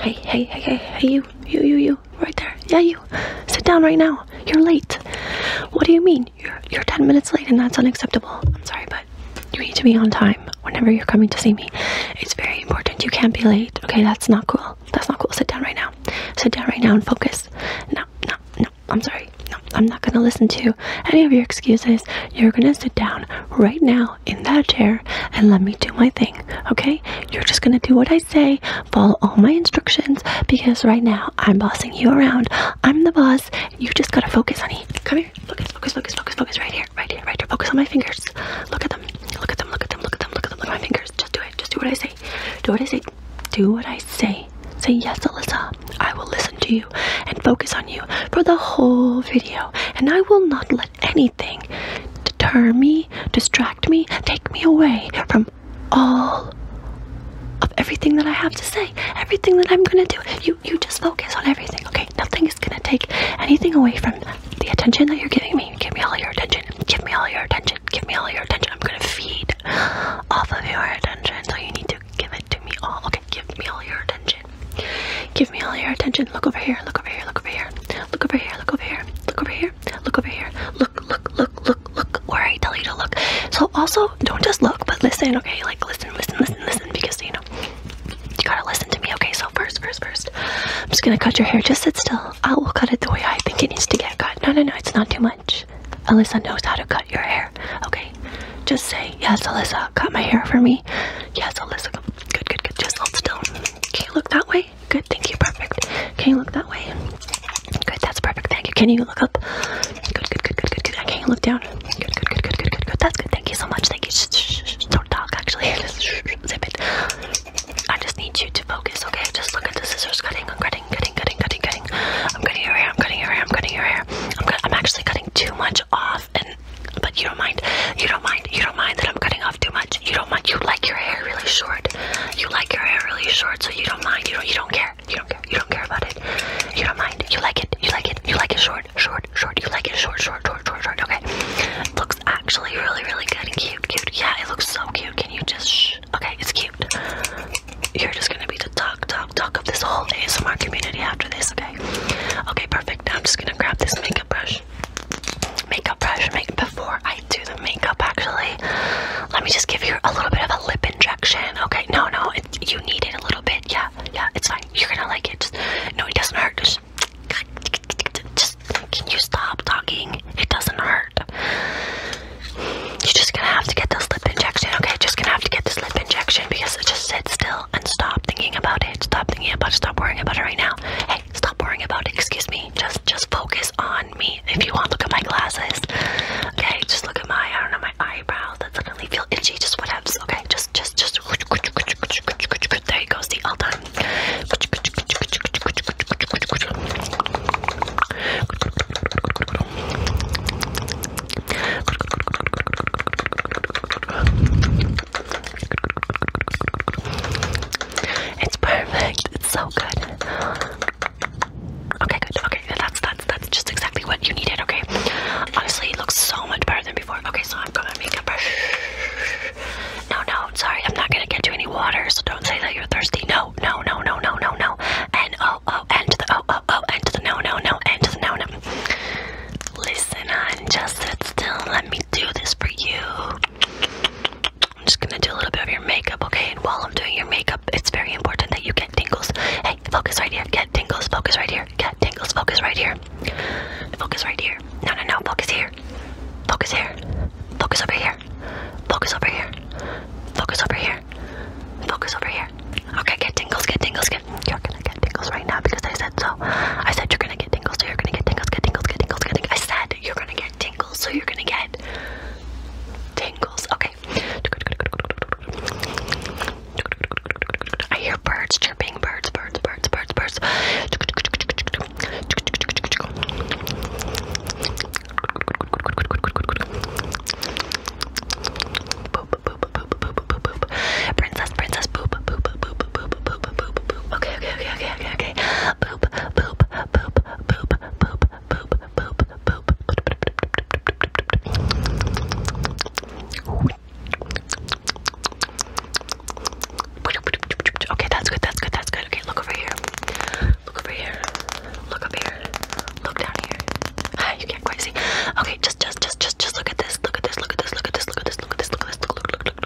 Hey, hey, hey, hey, hey, you, you, you, you, right there. Yeah, you. Sit down right now. You're late. What do you mean? You're, you're 10 minutes late and that's unacceptable. I'm sorry, but you need to be on time whenever you're coming to see me. It's very important. You can't be late. Okay, that's not cool. That's not cool. Sit down right now. Sit down right now and focus. No, no, no. I'm sorry. No, I'm not going to listen to any of your excuses. You're going to sit down right now now in that chair and let me do my thing, okay? You're just gonna do what I say, follow all my instructions because right now I'm bossing you around. I'm the boss. You just gotta focus, honey. Come here. Focus, focus, focus, focus, focus. Right here, right here, right here. Focus on my fingers. Look at them. Look at them. Look at them. Look at them. Look at them. Look at my fingers. Just do it. Just do what I say. Do what I say. Do what I say. Say yes, Alyssa. I will listen to you and focus on you for the whole video, and I will not let anything deter me, distract me, take me away from all of everything that I have to say, everything that I'm gonna do. You you just focus on everything, okay? Nothing is gonna take anything away from the attention that you're giving me. Give me all your attention. Give me all your attention. Give me all your attention. I'm gonna feed off of your attention, so you need to give it to me all. Okay, give me all your attention attention. Give me all your attention. Look over here. Look over here. Look over here. Look over here. Look over here. Look over here. Look over here. Look, look, look, look, look. Where I tell you to look. So also, don't just look, but listen. Okay, like listen, listen, listen, listen, because you know you gotta listen to me. Okay, so first, first, first, I'm just gonna cut your hair. Just sit still. I will cut it the way I think it needs to get cut. No, no, no, it's not too much. Alyssa knows how to cut your hair. Okay, just say yes, Alyssa. Cut my hair for me. Yes, Alyssa. Good, good, good. Just hold still. Can you look that way? Good, thank you. Perfect. Can you look that way? Good, that's perfect. Thank you. Can you look up? Good, good, good, good, good, good. Can you look down? Good, good, good, good, good, good, good. That's good. Thank you so much. Thank you. Shh, shh, shh. Don't talk, actually. Just shh, shh, zip it. I just need you to focus, okay? Just look at the scissors cutting. I'm cutting, cutting, cutting, cutting, cutting. I'm cutting your hair. I'm cutting your hair. I'm cutting your hair. I'm, cut I'm actually cutting too much off and but you don't mind. You don't mind. You don't mind that I'm cutting off too much. You don't mind. You like your hair really short. You like your hair really short, so you don't mind. You don't you don't care. You don't care. You don't care about it. You don't mind. You like it. You like it. You like it short, short, short. You like it short, short, short, short, short. Okay. looks actually really, really good and cute, cute. Yeah, it looks so cute. Can you just shh? Okay, it's cute. You're just gonna be the talk, talk, talk of this whole ASMR community after this, okay? Okay, perfect. Now I'm just gonna grab this makeup brush makeup brush. Make before I do the makeup, actually, let me just give you a little bit of a lip injection. Okay, no, no, you need it a little bit. Yeah, yeah, it's fine. You're gonna like it. no, it doesn't hurt. Just, can you stop talking? It doesn't hurt. You're just gonna have to get this lip injection. Okay, just gonna have to get the lip injection because it just sit still and stop thinking about it. Stop thinking about it. Stop worrying about it right now. Hey. Stop worrying about it. Excuse me. Just just focus on me. If you want, look at my glasses. Okay, just look at my I don't know my eyebrows that suddenly feel itchy. Just what Okay, just just just there you go. See, all done. It's perfect. It's so good. Okay, good. Okay, that's that's that's just exactly what you needed. Okay. Honestly, it looks so much better than before. Okay, so I've got my makeup brush. No, no, sorry, I'm not gonna get you any water, so don't say that you're thirsty. No, no, no, no, no, no, no. And oh, oh, and to the oh, oh, oh, and to the no, no, no, and to the no, no. Listen, hon, just sit still. Let me do this for you. I'm just gonna do a little bit of your makeup, okay? And while I'm doing your makeup, it's very important that you get tingles. Hey, focus right here. Get tingles. Focus right here. Get tingles. Focus right here. Focus right here. No, no, no. Focus here. Focus here. Focus over here. Focus over here. Focus over here. Focus over here. Okay, get tingles. Get tingles. Get. You're gonna get tingles right now because I said so. I said you're gonna get tingles, so you're gonna get tingles, get tingles, get tingles, get tingles. I said you're gonna get tingles, so you're gonna get tingles. Okay. I hear birds chirping, birds, birds, birds, birds, birds. Boop, boop, Princess, princess, boop, boop, poop, poop, poop, poop, poop, poop, poop. Okay, okay, okay, okay, okay, okay. Poop, poop, poop, poop, poop, poop, poop, poop. Okay, that's good, that's good, that's good. Okay, look over here. Look over here. Look up here. Look down here. Ah, you can't quite see. Okay, just just just just just look at this. Look at this. Look at this. Look at this. Look at this. Look at this. Look at this. Look look look look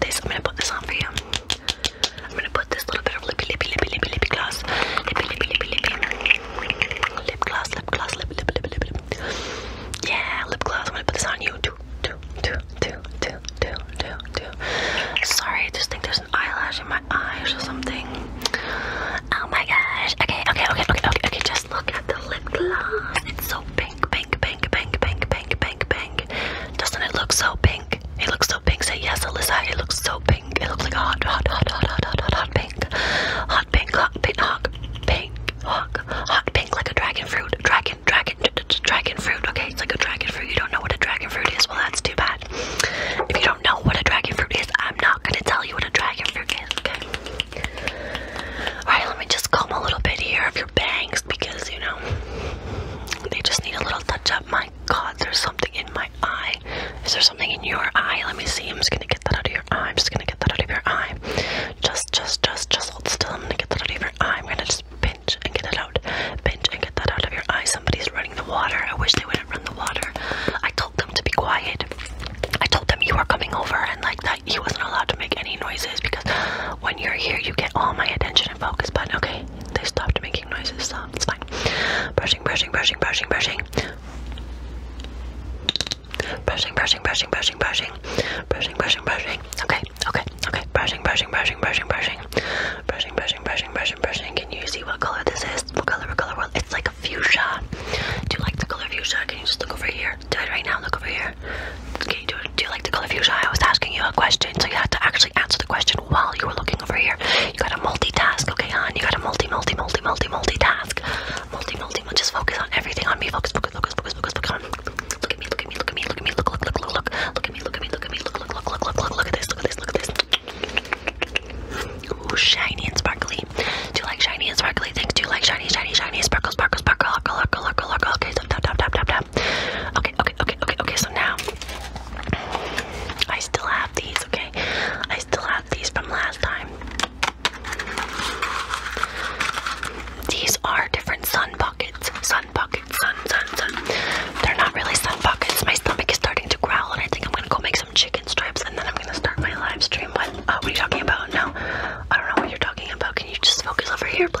this. I'm gonna put this on for you. I'm gonna put this little bit of lippy, lippy, lippy, lippy, lippy gloss. Lippy, lippy, lippy, lippy. Lip gloss, lip gloss, lip, lip, lip, lip, lip. Yeah, lip gloss. I'm gonna put this on you. Do, do, do, do, do, do, do, do. Sorry, I just think there's an eyelash in my eyes or something. Oh my gosh. Okay, okay, okay, okay, okay, okay. Just look at the lip gloss. It's so big pink, pink, pink, pink, pink, pink, pink, pink. Doesn't it look so pink? It looks so pink. Say yes, Alyssa. It looks so pink. It looks like a hot, hot, hot, hot, hot, hot, hot, hot pink. Hot pink, hot pink, hot pink, hot, hot pink, like a dragon fruit. Dragon, dragon, dragon fruit. Okay, it's like a dragon fruit. You don't know what a dragon fruit is? Well, that's too bad. If you don't know what a dragon fruit is, I'm not gonna tell you what a dragon fruit is. Okay. All right, let me just comb a little bit here of your bangs because you know they just need a little touch up. My God, there's something in my eye. Is there something in your eye? Let me see. I'm just gonna get that out of your eye. I'm just gonna get that out of your eye. Just, just, just, just hold still. I'm gonna get that out of your eye. I'm gonna just pinch and get it out. Pinch and get that out of your eye. Somebody's running the water. I wish they wouldn't run the water. I told them to be quiet. I told them you are coming over and like I, he wasn't allowed to make any noises because when you're here, you get all my attention and focus. But okay, they stopped making noises, so it's fine. Brushing, brushing, brushing, brushing, brushing. Brushing, brushing, brushing, brushing, brushing, brushing, brushing, brushing. Okay, okay, okay. Brushing, brushing, brushing, brushing, brushing, brushing, brushing, brushing, brushing, brushing. Can you see what color this is? What color? What color? What? It's like a fuchsia. Do you like the color fuchsia? Can you just look over here? Do it right now. Look over here do, you like the color fuchsia? I was asking you a question, so you had to actually answer the question while you were looking over here. You gotta multitask, okay, hon? You gotta multi, multi, multi, multi, multitask. Multi, multi, multi, just focus on everything on me. Focus, focus, focus, focus, focus, focus on. Look at me, look at me, look at me, look at me, look, look, look, look, look. Look at me, look at me, look at me, look, look, look, look, look, look, look at this, look at this, look at this. Ooh, shiny and sparkly. Do you like shiny and sparkly things? Do you like shiny, shiny, shiny, sparkle, sparkle, sparkle, sparkle, sparkle, sparkle, sparkle? Okay, tap, tap, tap, tap, tap. Okay, okay, okay, okay, okay. So now I still have these, okay? I still have these from last time. These are different sun buckets. Sun buckets, sun, sun, sun. They're not really sun buckets. My stomach is starting to growl, and I think I'm gonna go make some chicken strips, and then I'm gonna start my live stream. What? Uh, what are you talking about? No, I don't know what you're talking about. Can you just focus over here, please?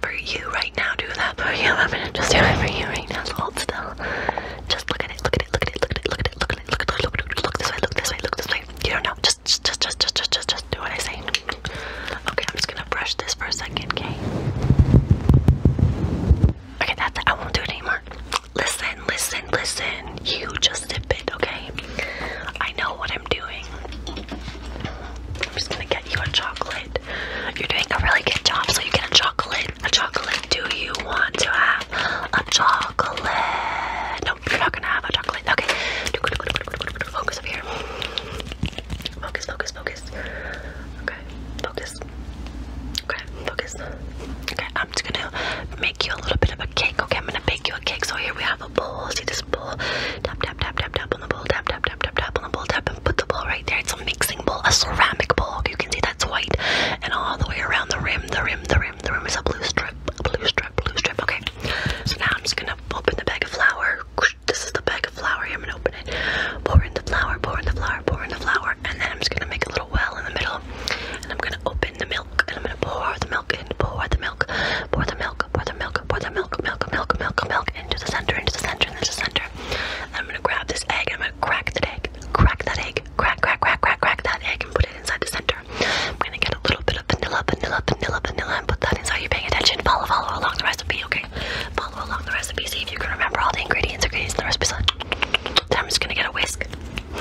that for you right now. Do that for you. I'm gonna just do it for you right now. So hold still. Just look at it. Look at it. Look at it. Look at it. Look at it. Look at it. Look at it. Look, at it, look this way. Look this way. Look this way. You don't know. Just, just, just, just, just, just, just do what I say. Okay, I'm just gonna brush this for a second. Okay. Okay, that's it. I won't do it anymore. Listen, listen, listen. You just dip it. Okay. I know what I'm doing. I'm just gonna get you a chocolate chocolate. You're doing a really good job. So you get a chocolate. A chocolate. Do you want to have a chocolate? No, you're not gonna have a chocolate. Okay. Focus up here. Focus, focus, focus. Okay. Focus. Okay, focus. Okay, I'm just gonna make you a little bit of a cake. Okay, I'm gonna bake you a cake. So here we have a bowl. See this bowl? Tap, tap, tap, tap, tap on the bowl. Tap, tap, tap, tap, tap on the bowl. Tap put the bowl right there. It's a mixing bowl, a ceramic bowl. You can see that's white, and all the way around the rim, the rim, the rim, the rim is a blue strip, blue strip, blue strip. Okay, so now I'm just gonna open the bag of flour. This is the bag of flour. I'm gonna open it, pour in the flour, pour in the flour, pour in the flour, and then I'm just gonna make a little well in the middle, and I'm gonna open the milk, and I'm gonna pour the milk in, pour the milk, pour the milk, pour the milk, pour the milk, milk, milk, milk, milk, milk into the center, into the center, into the center. And I'm gonna grab this egg and I'm gonna crack that egg, crack that egg, crack, crack, crack, crack, crack that egg, and put it inside the center. I'm gonna get a little bit of vanilla, vanilla, vanilla, vanilla, and put that inside. You're paying attention. Follow, follow along the recipe, okay? Follow along the recipe. See if you can remember all the ingredients, ingredients in the recipe. So I'm just gonna get a whisk.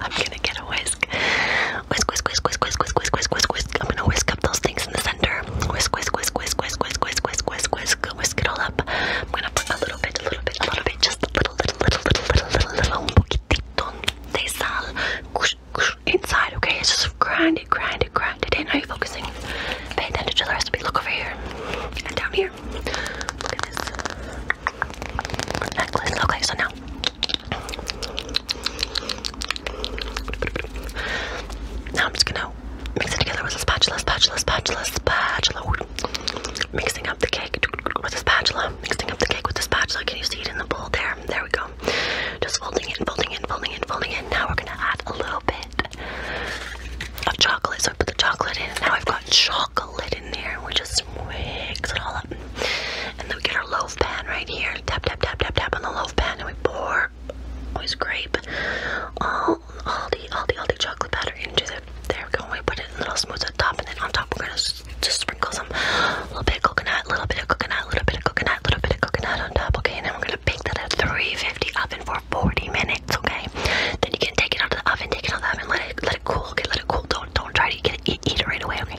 I'm gonna get a whisk. Whisk, whisk, whisk, whisk, whisk, whisk, whisk, whisk, whisk, whisk. I'm gonna whisk up those things in the center whisk, whisk, whisk, whisk, whisk, whisk, whisk, whisk, whisk, whisk, whisk it all up. I'm gonna put a little bit, a little bit, a little bit, just a little, little, little, little, little, little, little, un poquitito de sal inside. Okay, it's just grind it, grind it, grind it in. Are you focusing? Pay attention to the recipe. Look over here and down here. Look at this necklace. Okay, so now. Now I'm just gonna mix it together with a spatula, spatula, spatula, spatula. Mixing up the cake with a spatula. Mixing up the cake with the spatula. Can you see it in the bowl there? There we go. Just folding in, folding in, folding in, folding in. Now we're gonna add a little bit of chocolate. So I put the chocolate in. Now I've got chocolate in there. and We just mix it all up. And then we get our loaf pan right here. Tap, tap, tap, tap, tap on the loaf pan and we pour always grape all all the Aldi, Aldi chocolate powder into the, there we go, we put it in little smooths at the top, and then on top we're gonna just sprinkle some, little bit of coconut, little bit of coconut, little bit of coconut, little bit of coconut on top, okay, and then we're gonna bake that at 350 oven for 40 minutes, okay, then you can take it out of the oven, take it out of the oven, let it, let it cool, okay, let it cool, don't, don't try to get it, eat, eat it right away, okay,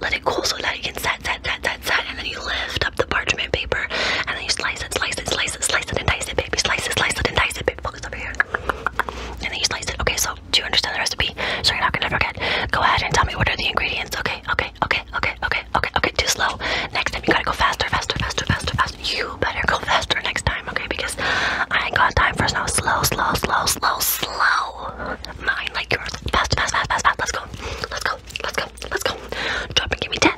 let it cool so that you can set, set, set, set, set, and then you lift up the parchment paper, and then you slice it, slice it, slice it, slice it, and dice it, baby, slice it, slice it, and dice it, bit focus over here. And then you slice it. Okay, so do you understand the recipe? So you're not gonna forget. Go ahead and tell me what are the ingredients. Okay, okay, okay, okay, okay, okay, okay. Too slow. Next time you gotta go faster, faster, faster, faster, faster. You better go faster next time, okay? Because I ain't got time for snow. Slow, slow, slow, slow, slow. Mine like yours. Fast, fast, fast, fast, fast. Let's go. Let's go. Let's go. Let's go. Drop and give me ten.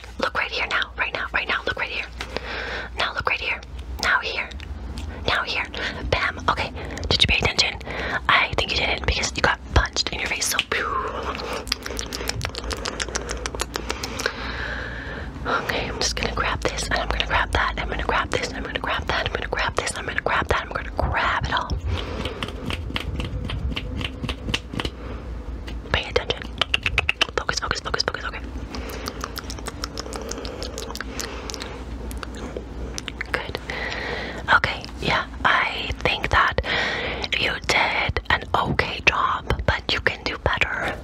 Look right here now, right now, right now. Look right here. Now look right here. Now here. Now here. Bam. Okay. Did you pay attention? I think you didn't because you got punched in your face. So. Okay, I'm just gonna grab this and I'm gonna grab that. I'm gonna grab this and I'm gonna grab that. I'm gonna grab this. I'm gonna grab that. I'm gonna grab it all. Pay attention. Focus, focus, focus, focus, okay. Good. Okay, yeah, I think that you did an okay job, but you can do better.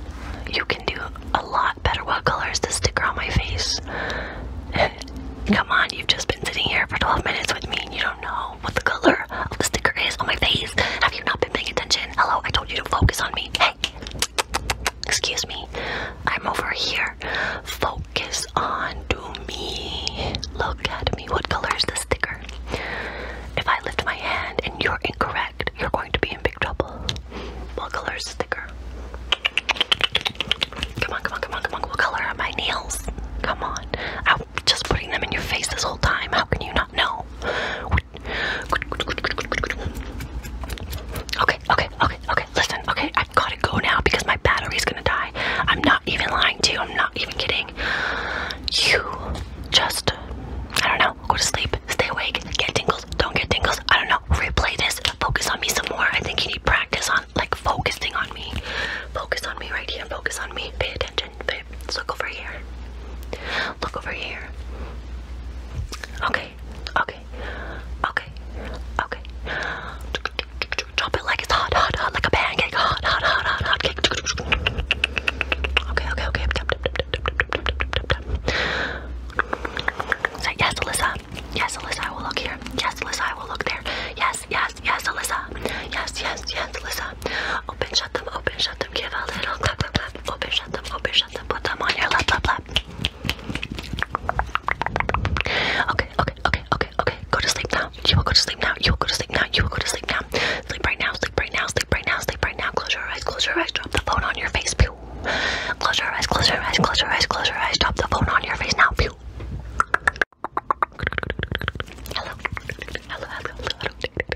You can do a lot better. What colors to stick sticker on my face? Come on, you've just been sitting here for 12 minutes with me and you don't know know what the color of the sticker is on my face. Have you not been paying attention? Hello, I told you to focus on me. Hey, excuse me. I'm over here. Focus on to me. Look at me. What color is the sticker? If I lift my hand and you're incorrect, you're going to be in big trouble. What color is the sticker? Come on, come on, come on, come on. What color are my nails? Come on. I'm just putting them in your face this whole time. How can you not know? Okay, okay, okay, okay. Listen, okay, i got to go now because my battery's gonna die. I'm not even lying to you. I'm not even kidding. You just, I don't know, go to sleep, stay awake, get tingles, don't get tingles. I don't know. Replay this. Focus on me some more. I think you need practice on like focusing on me. Focus on me right here. Focus on me. Pay attention didn't fit. Let's look over here. Look over here. Okay, okay, okay, okay. Drop it like it's hot, hot, hot, like a pancake. Hot, hot, hot, hot, hot cake. Okay, okay, okay. Say yes, Alyssa. Yes, Alyssa, I will look here. Yes, Alyssa, I will look there. Yes, yes, yes, Alyssa. Yes, yes, yes, Alyssa. Open, shut them, open, shut them. Give a little clap, clap, clap. Open, shut them, open, shut them. Put them on your lap, lap, lap. Okay, okay, okay, okay, okay. Go to sleep now. You will go to sleep now. You will go to sleep now. You will go to sleep now. Sleep right now, sleep right now, sleep right now, sleep right now. Close your eyes, close your eyes. Drop the phone on your face. Pew. Close your eyes, close your eyes, close your eyes, close your eyes. Drop the phone on your face now. Pew. Hello. Hello, hello, hello.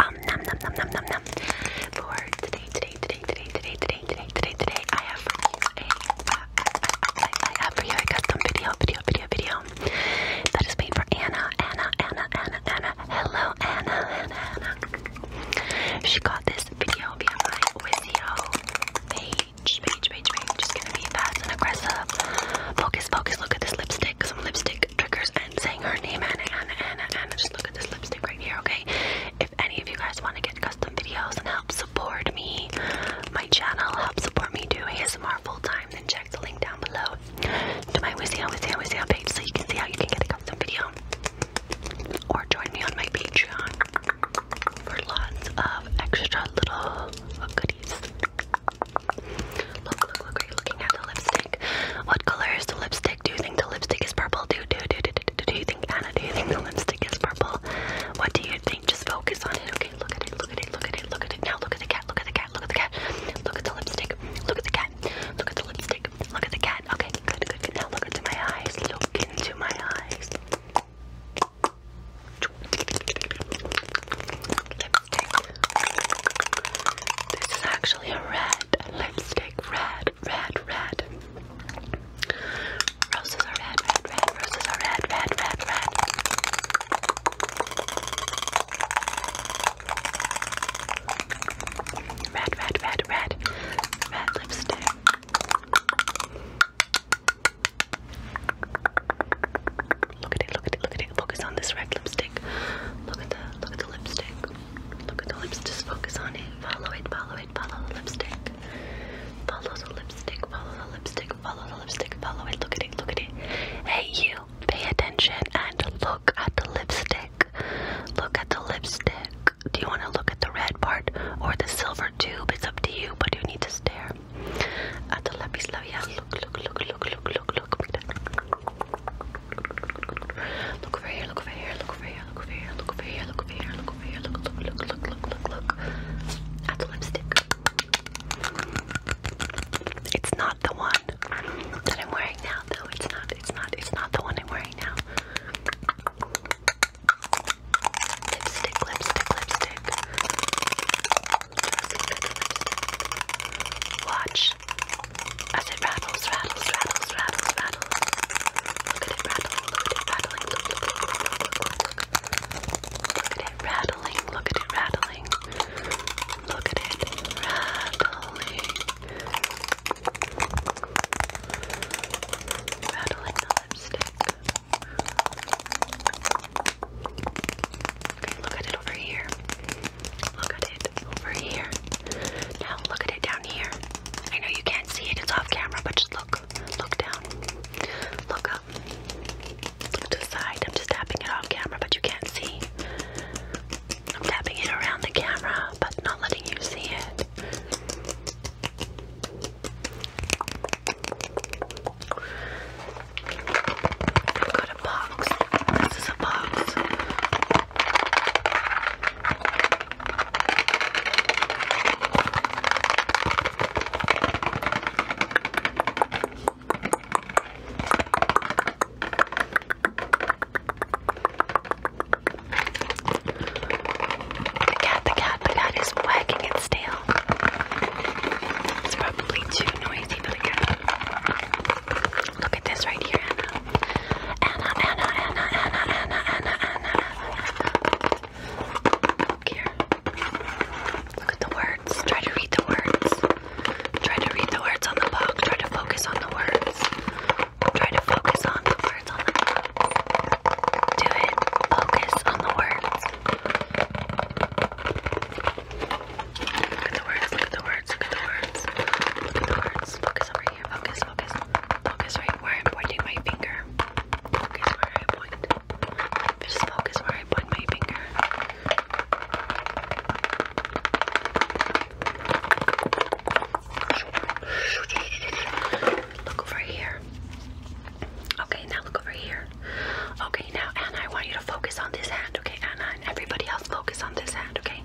um, num, um, um, um, She got this video via my page, page, page, page. Just gonna be fast and aggressive. Focus, focus. Look at this lipstick. Some lipstick triggers and saying her name, Anna, Anna, Anna, Anna. Just look at this lipstick right here, okay? If any of you guys want to get custom videos and help support me, my channel, help support me do ASMR full time, then check the link down below to my Wizio, oh, Wizio, oh, Wizio oh, page so you can see how you can get a custom video. Or join me on my Patreon for lots of extra little goodies. Look, look, look, are you looking at the lipstick? What color is the lipstick? Do you think the lipstick is purple? Do, do, do, do, do, do you think, Anna, do you think the lipstick is purple? What do you think? Just focus on it, okay? Look at it, look at it, look at it, look at it. Now look at the cat, look at the cat, look at the cat. Look at the lipstick, look at the cat, look at the lipstick, look at the cat. Okay, good, good, good. Now look into my eyes, look into my eyes. Lipstick. This is actually a red lipstick. Red, red, red. Roses are red, red, red. Roses are red, red, red, red. Red, red, red, red. Red lipstick. Look at it, look at it, look at it. Focus on this red lipstick. Look at the look at the lipstick. Look at the lips, just focus on it. Follow it, follow it, follow the lipstick. Follow the lipstick, follow the lipstick, follow the lipstick, follow it, look at it, look at it. Hey you, pay attention and look at the lipstick. Look at the lipstick. Do you want to look at the red part or the silver tube? It's up to you, but you need to stare. At the lapis labial, look, look, look, look, look, look, look. Look over here, look over here, look over here, look over here, look over here, look over here, look over here, look, look, look, look, look, look, look. At the lipstick. It's not the one that I'm wearing now, though. It's not. It's not. It's not the one I'm wearing now. Lipstick, lipstick, lipstick. Watch as it rattles, rattles, rattles, rattles, rattles. Look at it rattling, Look at it rattling, look at it rattling. Look at it rattling. Rattling the lipstick. Okay, look at it over here. Look at it over here. Now look at it down here. I know you can't see it, it's off camera, but just look. Look down. Look up. Look to the side. I'm just tapping it off camera, but you can't see. I'm tapping it around the camera, but not letting you see it. I've got a box. This is a box. The cat, the cat, the cat wagging its tail. It's probably too noisy. Stay really good. Look at this right here, Anna, Anna, Anna, Anna, Anna, Anna, Anna, Anna. Look here. Look at the words. Try to read the words. Try to read the words on the box. Try to focus on the words. Try to focus on the words on the box. Do it. Focus on the words. Look at the words, look at the words, look at the words. Look at the words. Focus over here. Focus, focus. Focus right where I'm pointing my finger. Focus where I point. Just focus where I point my finger. Look over here. Okay, now look over here. Okay now. Anna, I want you to focus on this hand, okay? Anna and everybody else focus on this hand, okay?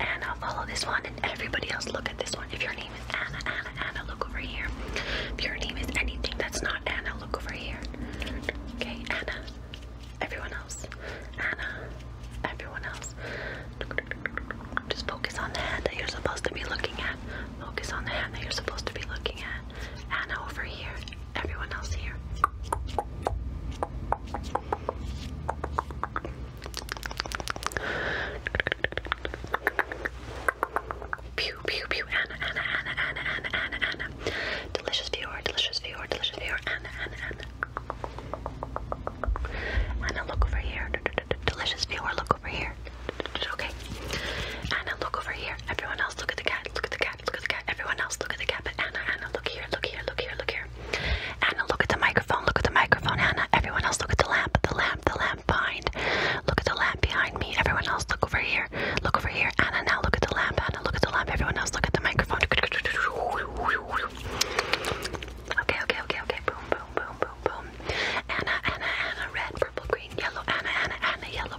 And I'll follow this one and everybody else look at this one. If your name is Anna, Anna, Anna, look over here. If your name is anything that's not Anna, look over here. Okay, Anna. Everyone else. Anna. Everyone else. Just focus on the hand that you're supposed to be looking at. Focus on the hand that you're supposed to be looking at. Anna over here. Everyone else here. Pew, pew, pew, Anna, Anna, Anna, Anna, Anna, Anna, Delicious viewer, delicious viewer, delicious viewer, Anna, Anna, Anna. Anna, look over here. delicious viewer, look over here. okay. Anna, look over here. Everyone else, look at the cat, look at the cat cat, look at the cat. Everyone else, look at the cat. But Anna, Anna, look here, look here, look here, look here. Anna, look at the microphone, look at the microphone, Anna. Everyone else, look at the lamp, the lamp, the lamp behind. Look at the lamp behind me. Everyone else, look over here, look over here. Anna, now look at the lamp, Anna, look at the lamp. Everyone else, look at the microphone. Okay, okay, okay, okay. Boom, boom, boom, boom, boom. Anna, Anna, Anna, red, purple, green, yellow. Anna, Anna, Anna, yellow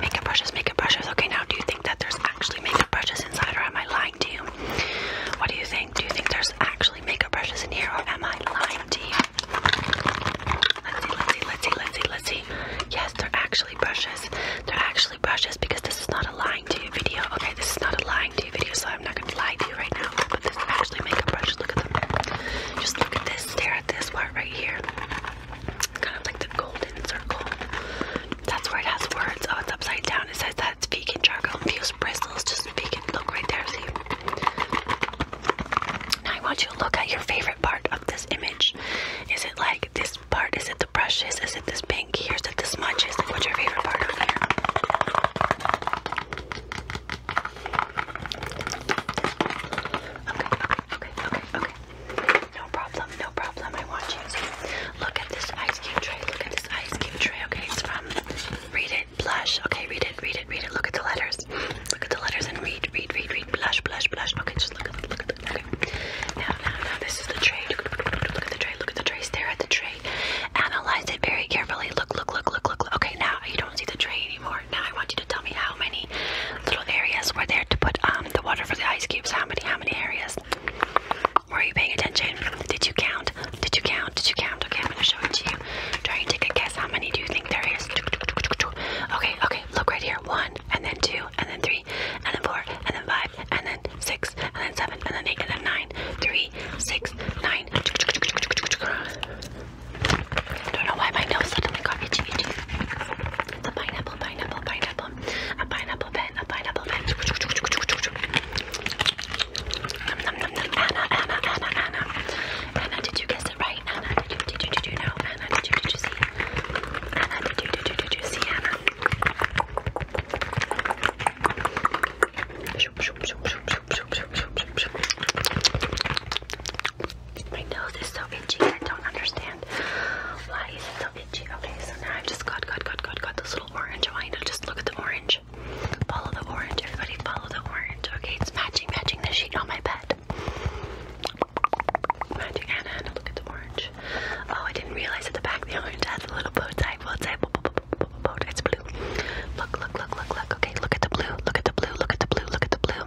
Makeup brushes, makeup brushes. Okay, now do you think that there's actually makeup brushes inside or am I lying to you? What do you think? Do you think there's actually makeup brushes in here or am I lying to you? Let's see, let's see, let's see, let's see, let's see. Yes, they're actually brushes. They're actually brushes because this is not a lying to you video. Okay, this is not a lying to you video, so I'm not gonna lie to you right now. But this is actually makeup brushes. Look at them. Just look at this, stare at this part right here kind of like the golden circle. That's where it has words. Oh, it's upside down. It says that it's vegan charcoal infused bristles. Just vegan. Look right there. See? Now I want you to look at your favorite part of this image. Is it like this part? Is it the brushes? Is it this pink? Is it the smudges. Like, what's your favorite part over here? Okay, okay, okay, okay, okay. No problem, no problem. I want you to look at this ice cube tray. Look at this ice cube tray. Okay, it's from Read It Blush. Okay, read it, read it, read it. Look at the letters. Look at the letters and read, read, read, read. Blush, blush, blush. Okay, just look at it, look at it. Okay. Now, now, now, this is the tray. Look at the tray, look at the tray. Stare at the tray. Analyze it very carefully. Look, look, look, look, look. Okay, now you don't see the tray anymore more. Now I want you to tell me how many little areas were there to put um, the water for the ice cubes. How many? How many areas? Were you paying attention? Did you count? Did you count? Did you count? Okay, I'm gonna show it to you. Try and take a guess. How many do you think there is? Okay, okay. Look right here. One, and then two, and then three, and then four, and then five, and then six, and then seven, and then eight, and then nine. Three, six, nine. Don't know why my nose suddenly got itchy, itchy. The pineapple, pineapple, pineapple. A pineapple pen, a pineapple pen. Nom, nom, nom, nom. Anna, Anna, Anna, Anna. Anna, did you guess it right? Anna, did you, did you, did you know? Anna, did you, did you see? Anna, did you, did you, did you see Anna? My nose is so itchy. I don't understand why is so itchy. Okay, so now i just got, got, got, got, got this little orange. Oh, I you to just look at the orange. Follow the orange. Everybody follow the orange. Okay, it's matching, matching the sheet on my bed. Magic Anna, Anna, look at the orange. Oh, I didn't realize at the back the orange has a little bow tie. Bow tie, bow, bow, It's blue. Look, look, look, look, look. Okay, look at the blue. Look at the blue. Look at the blue. Look at the blue.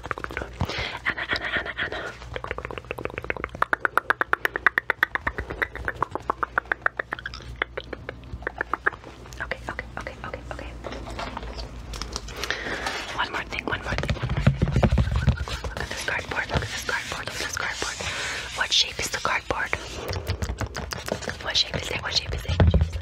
Anna, Anna, Anna, Anna. Okay, okay, okay, okay, okay. One more thing, one more thing, one more thing. Look, at this cardboard, look at this cardboard, look at this cardboard. What shape is the cardboard? What shape is it? What shape is it? What shape is it?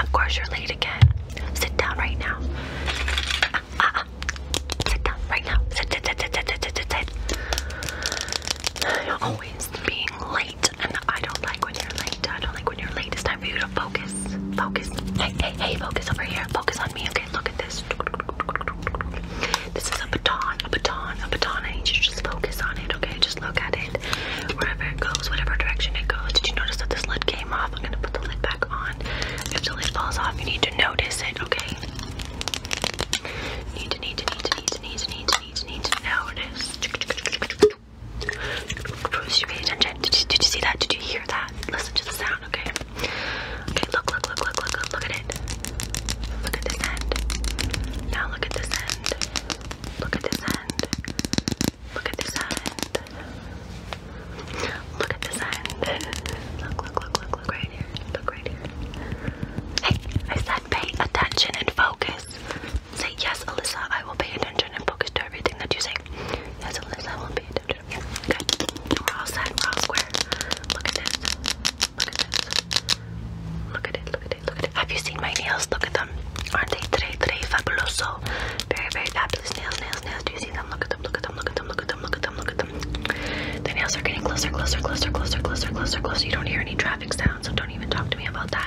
Of course, you're late again. Sit down right now. Sit down right now. You're always being late and I don't like when you're late. I don't like when you're late. It's time for you to focus. Focus. Hey, hey, hey, focus over here. Focus on me. Okay, look at this. This is a baton, a baton, a baton. I need you to just focus on it, okay? Just look at it. Wherever it goes, whatever direction it goes. Did you notice that this lid came off? I'm gonna put the lid back on. If the lid falls off, you need to notice it, okay? Need to, need to, need to, need to, need to, need to, need to, need to notice. You pay attention. did you see that? Did you hear that? Listen to the sound, okay? Okay, look, look, look, look, look, look at it. Look at this end. Now look at this end. Look at this end. Look at this end. Look at this end. Look, look, look, look, look right here. Look right here. Hey, I said pay attention and focus. Say yes, Alyssa. I will pay attention and focus to everything that you say. Yes, Alyssa. I will pay attention. Yeah. Good. We're all set. We're all square. Look at this. Look at this. Look at it. Look at it. Look at it. Have you seen my nails? Look at them. Aren't they today? Today, fabuloso. Very, very fabulous nails. Nails. Nails. Do you see them? Look at them. Look at them. Look at them. Look at them. Look at them. Look at them. The nails are getting closer, closer, closer, closer, closer, closer, closer. You don't hear any traffic sounds, so don't even talk to me about that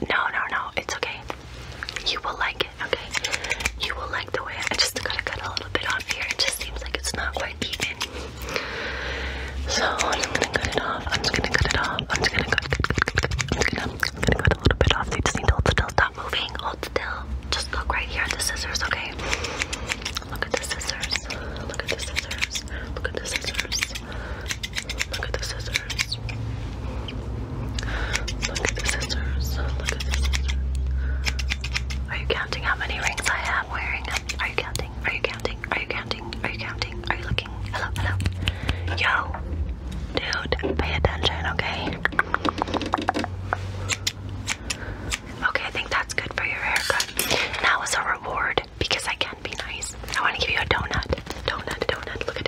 No, no, no. It's okay. You will like it, okay? You will like the way I just gotta cut a little bit off here. It just seems like it's not quite even. So I'm gonna cut it off. I'm just gonna cut it off. I'm just gonna cut cut cut cut. I'm gonna, I'm gonna cut a little bit off. You just need to hold still. Stop moving. Hold still. Just look right here at the scissors, okay? Look at the scissors. Look at the scissors. Look at the scissors. Look at the scissors. Look at the scissors. Look at the scissors. Are you counting how many rings I have wearing? Are you counting? Are you counting? Are you counting? Are you counting? Are you looking? Hello, hello. Yo, dude, pay attention, okay? Okay, I think that's good for your haircut. That was a reward because I can be nice. I want to give you a donut. Donut, donut. Look at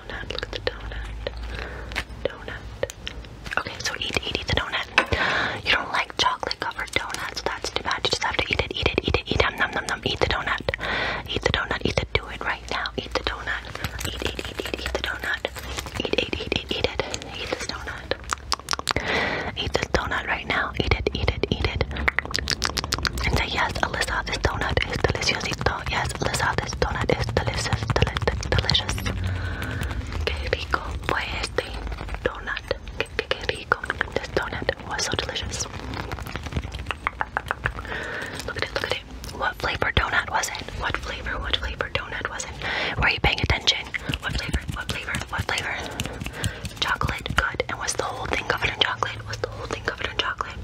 donut. Look at the donut. Donut. Okay, so eat, eat, eat the donut. You don't like chocolate covered donuts. That's too bad. You just have to eat it, eat it, eat it, eat it. Nom, nom, nom. Eat the donut. Eat the donut. Eat the do it right now. Eat the donut. Eat, eat, eat, eat, eat the donut. Eat, eat, eat, eat, eat it. Eat this donut. Eat this donut right now. Eat it, eat it, eat it. And say yes, Alyssa, this donut is delicious yes, this donut is delicious, delicious, delicious. Que rico fue este donut. Que, rico. This donut was so delicious. Look at it, look at it. What flavor donut was it? What flavor, what flavor donut was it? Were you paying attention? What flavor, what flavor, what flavor? Chocolate, good. And was the whole thing covered in chocolate? chocolate? Was the whole thing covered in chocolate?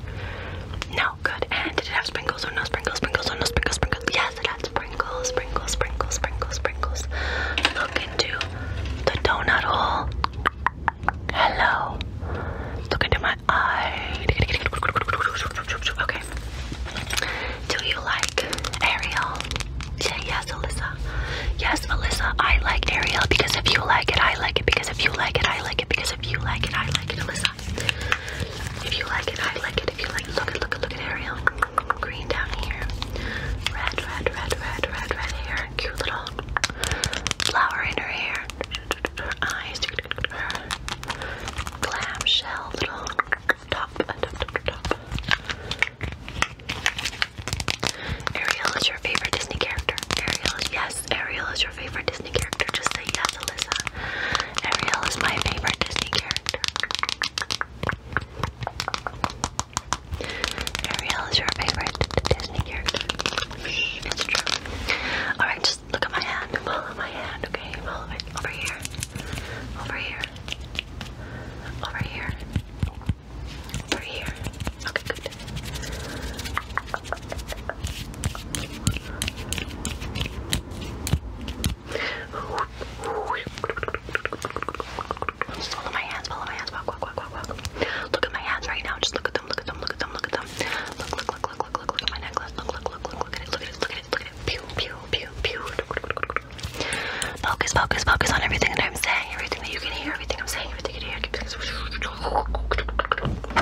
No, good. And did it have sprinkles or no sprinkles? Sprinkles or no sprinkles? Sprinkles? Yes, it had sprinkles, sprinkles, sprinkles, sprinkles, sprinkles. Look into the donut hole. Hello. Look into my eye. Okay. Do you like Ariel? Say yes, Alyssa. Yes, Alyssa, I like Ariel because if you like it, I like it because if you like it, I like it because if you like it, I like it, Alyssa. If you like it, I like it. If you like it, look at, look at, look at Ariel. Green down here. Red, red, red, red, red, red hair. Cute little flower in her hair. Her eyes. Her clamshell little top, top, top, top. Ariel is your favorite Disney character. Ariel is, yeah, Ariel is your favorite Disney character. Just say yes, Alyssa. Ariel is my favorite Disney character. Ariel is your favorite Disney character. It's true. Alright, just look at my hand. my hand, okay? Follow it. Over here. Over here. Over here. Over here. Okay, good. Just look at my hands, follow my hands, walk, walk, walk, walk, walk. Look at my hands right now. Just look at them, look at them, look at them, look at them. Look, look, look, look, look, look, look at my necklace. Look, look, look, look, look at it, look at it, look at it, look at it. Pew, pew, pew, pew. Focus, focus, focus on everything that I'm saying, everything that you can hear, everything I'm saying, everything you can hear.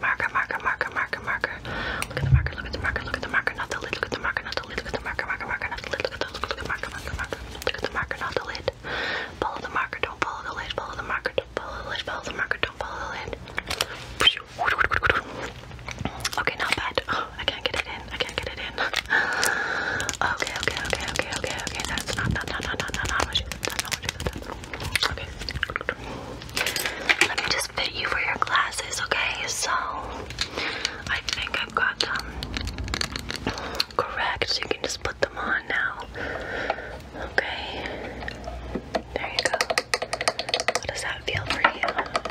Marker, marker, marker, marker, marker. Look at the marker, look at the marker, look at the marker, not the lid, look at the marker, not the lid, look at the marker, marker, marker, not the lid, look at the look, look at the marker, marker, marker, look at the marker, not the lid. Follow the marker, don't follow the lid, follow the marker, don't follow the lid, follow the marker, don't follow the lid. Okay, not bad. Oh, I can't get it in. I can't get it in. Okay, okay, okay, okay, okay, okay. That's not, not, not, not, not, not, not what you said. That's not what you said. Okay. Let me just fit you for your glasses, okay? So I think I've got them correct. So You can just put them on now. Okay. There you go. How does that feel for you?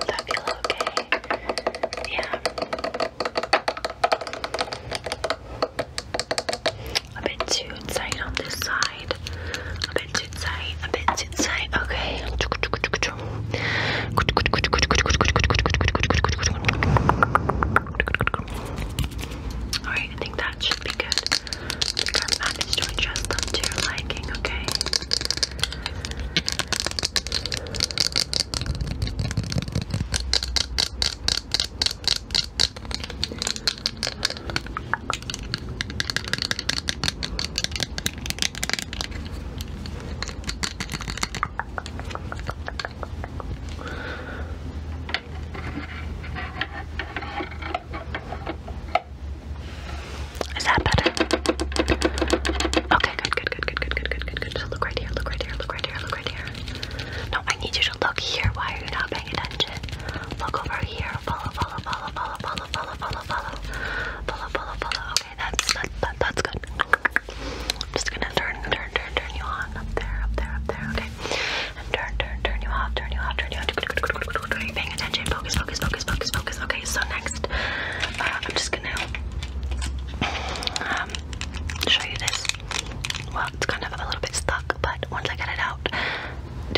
that feel okay? Yeah. A bit too tight on this side a bit too a bit too Okay. Alright, I think that should be good. I think I managed to to your liking, okay? Is that better? Okay, good, good, good, good, good, good, good, good, good. So look right here, look right here, look right here, look right here. No, I need you to look here. Why are you not paying attention? Look over here. Follow, follow, follow, follow, follow, follow, follow, follow, follow, follow, follow, Okay, that's that, that's good. I'm just gonna turn, turn, turn, turn you on up there, up there, up there. Okay, turn, turn, turn you off, turn you off, turn you off. Focus, focus, focus, focus, focus. Okay, so next, uh, I'm just gonna um show you this. Well, it's kind of a little bit stuck, but once I get it out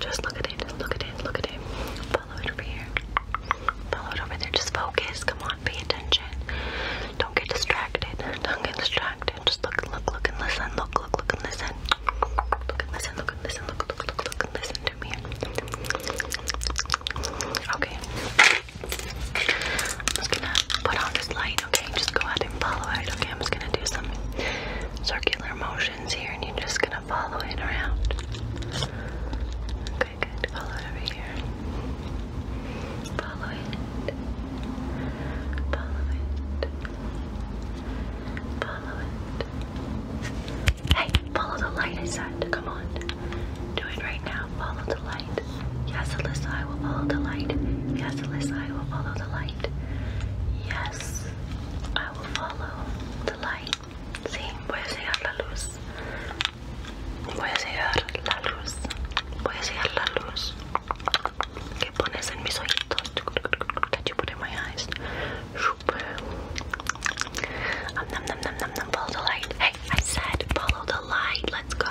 Just look at it, look at it, look at it. Follow it over here. Follow it over there. Just focus. Come on, pay attention. Don't get distracted. Don't get distracted. Just look, look, look, and listen. Look, look, look, and listen. Look and listen. Look and listen. Look, look, look, look, and listen to me. Okay. I'm just gonna put on this light, okay? Just go ahead and follow it, okay? I'm just gonna do some circular motions here, and you're just gonna follow it around. Okay, Follow it over here. Follow it. Follow it. Follow it. Hey, follow the light, I said. Come on. Do it right now. Follow the light. Yes, Alyssa, I will follow the light. Yes, Alyssa, I will follow the light. Yes, I will follow the light. Sí, voy a seguir la luz. Voy a seguir la luz. Voy a seguir la luz. Que pones en mis ojitos. That you put in my eyes. Um, num, num, num, num, num. Follow the light. Hey, I said follow the light. Let's go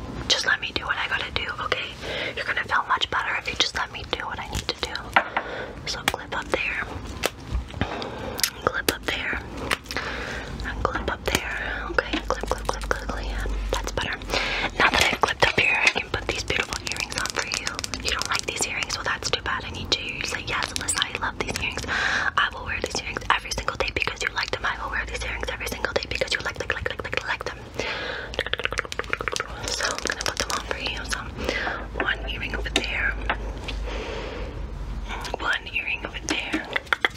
Listen, just let me do what I gotta do, okay? You're gonna feel much better if you just let me do what I need to do. So clip up there, and clip up there, and clip up there. Okay, clip, clip, clip, clip, clip. Yeah, that's better. Now that I've clipped up here, I can put these beautiful earrings on for you. You don't like these earrings? Well, that's too bad. I need you. You say yes, Alyssa. I love these earrings. I will wear these earrings every single day because you like them. I will wear these earrings every single day because you like, like, like, like, like, like them. So I'm gonna put them on for you. So one earring over there. One earring over there.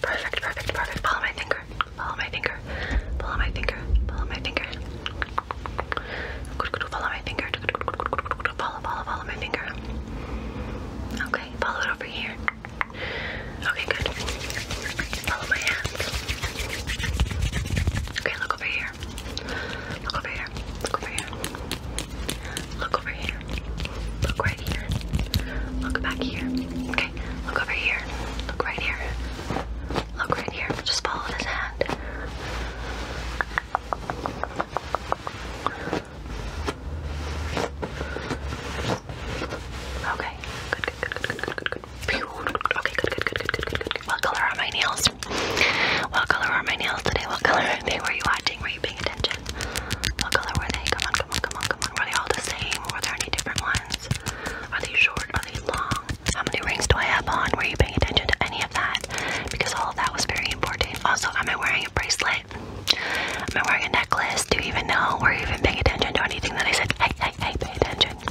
Perfect, perfect, perfect. Follow my finger. Follow my finger. Follow my finger. Follow my finger. Follow my finger. Follow, follow, follow my finger. Okay, follow it over here. Okay, good. Follow my hands. Okay, look over here. Look over here. Look over here. Look over here. Look right here. Look back here. Okay, look over here. Look right here. Look right here. Just follow this hand. Okay. Good, good, good, good, good, good, good, good. Okay, good, good, good, good, good, good, good. What color are my nails? What color are my nails today? What color are they? Were you watching? Were you paying attention? What color were they? Come on, come on, come on, come on. Were they all the same? Were there any different ones? Are they short? Are they long? How many rings do I have on? Were you paying attention to any of that? Because all of that was very important. Also, am I wearing a bracelet? Am I wearing a necklace? Do you even know? Were you even paying attention to anything that I said? Hey, hey, hey, pay attention. Jackie.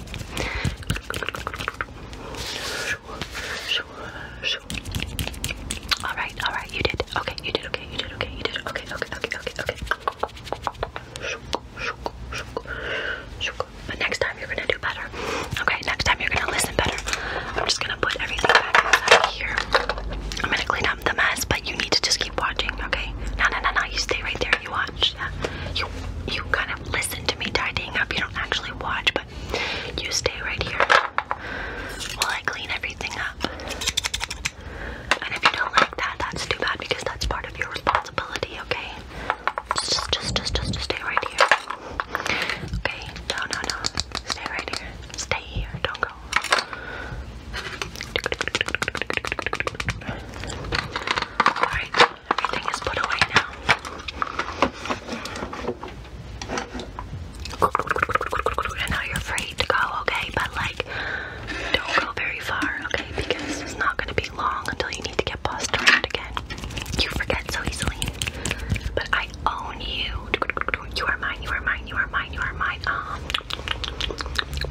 All right, all right, you did. Okay, you did. Okay, you did. Okay, you did. Okay, okay, okay, okay, okay. But next time you're gonna do better. Okay, next time you're gonna listen better. I'm just gonna put everything back inside here. I'm gonna clean up the mess, but you need to just keep watching. Okay? No, no, no, no. You stay right there. You watch. You you kind of listen to me tidying up. You don't actually watch, but you stay right here while I clean everything up. And if you don't like that, that's too bad because that's part of your responsibility, okay? Just just just just, just stay right here. Okay, no no no. Stay right here. Stay here, don't go. Alright, everything is put away now. And now you're free to go, okay? But like, don't go very far, okay? Because it's not gonna be long until you need to get bussed again. You forget so easily. But I own you. You are mine, you are mine, you are mine, you are mine. Um,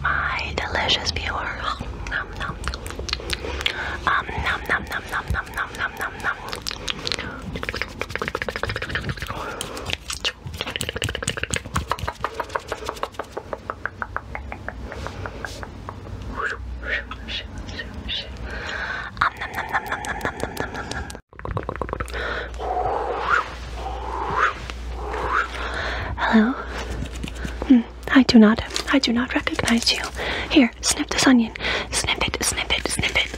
my delicious viewer. Nom, nom, um, nom nom nom nom nom nom nom nom nom. Um, nom nom Hello. I do not. I do not recognize you. Here, snip this onion. Snip it, snip it, snip it.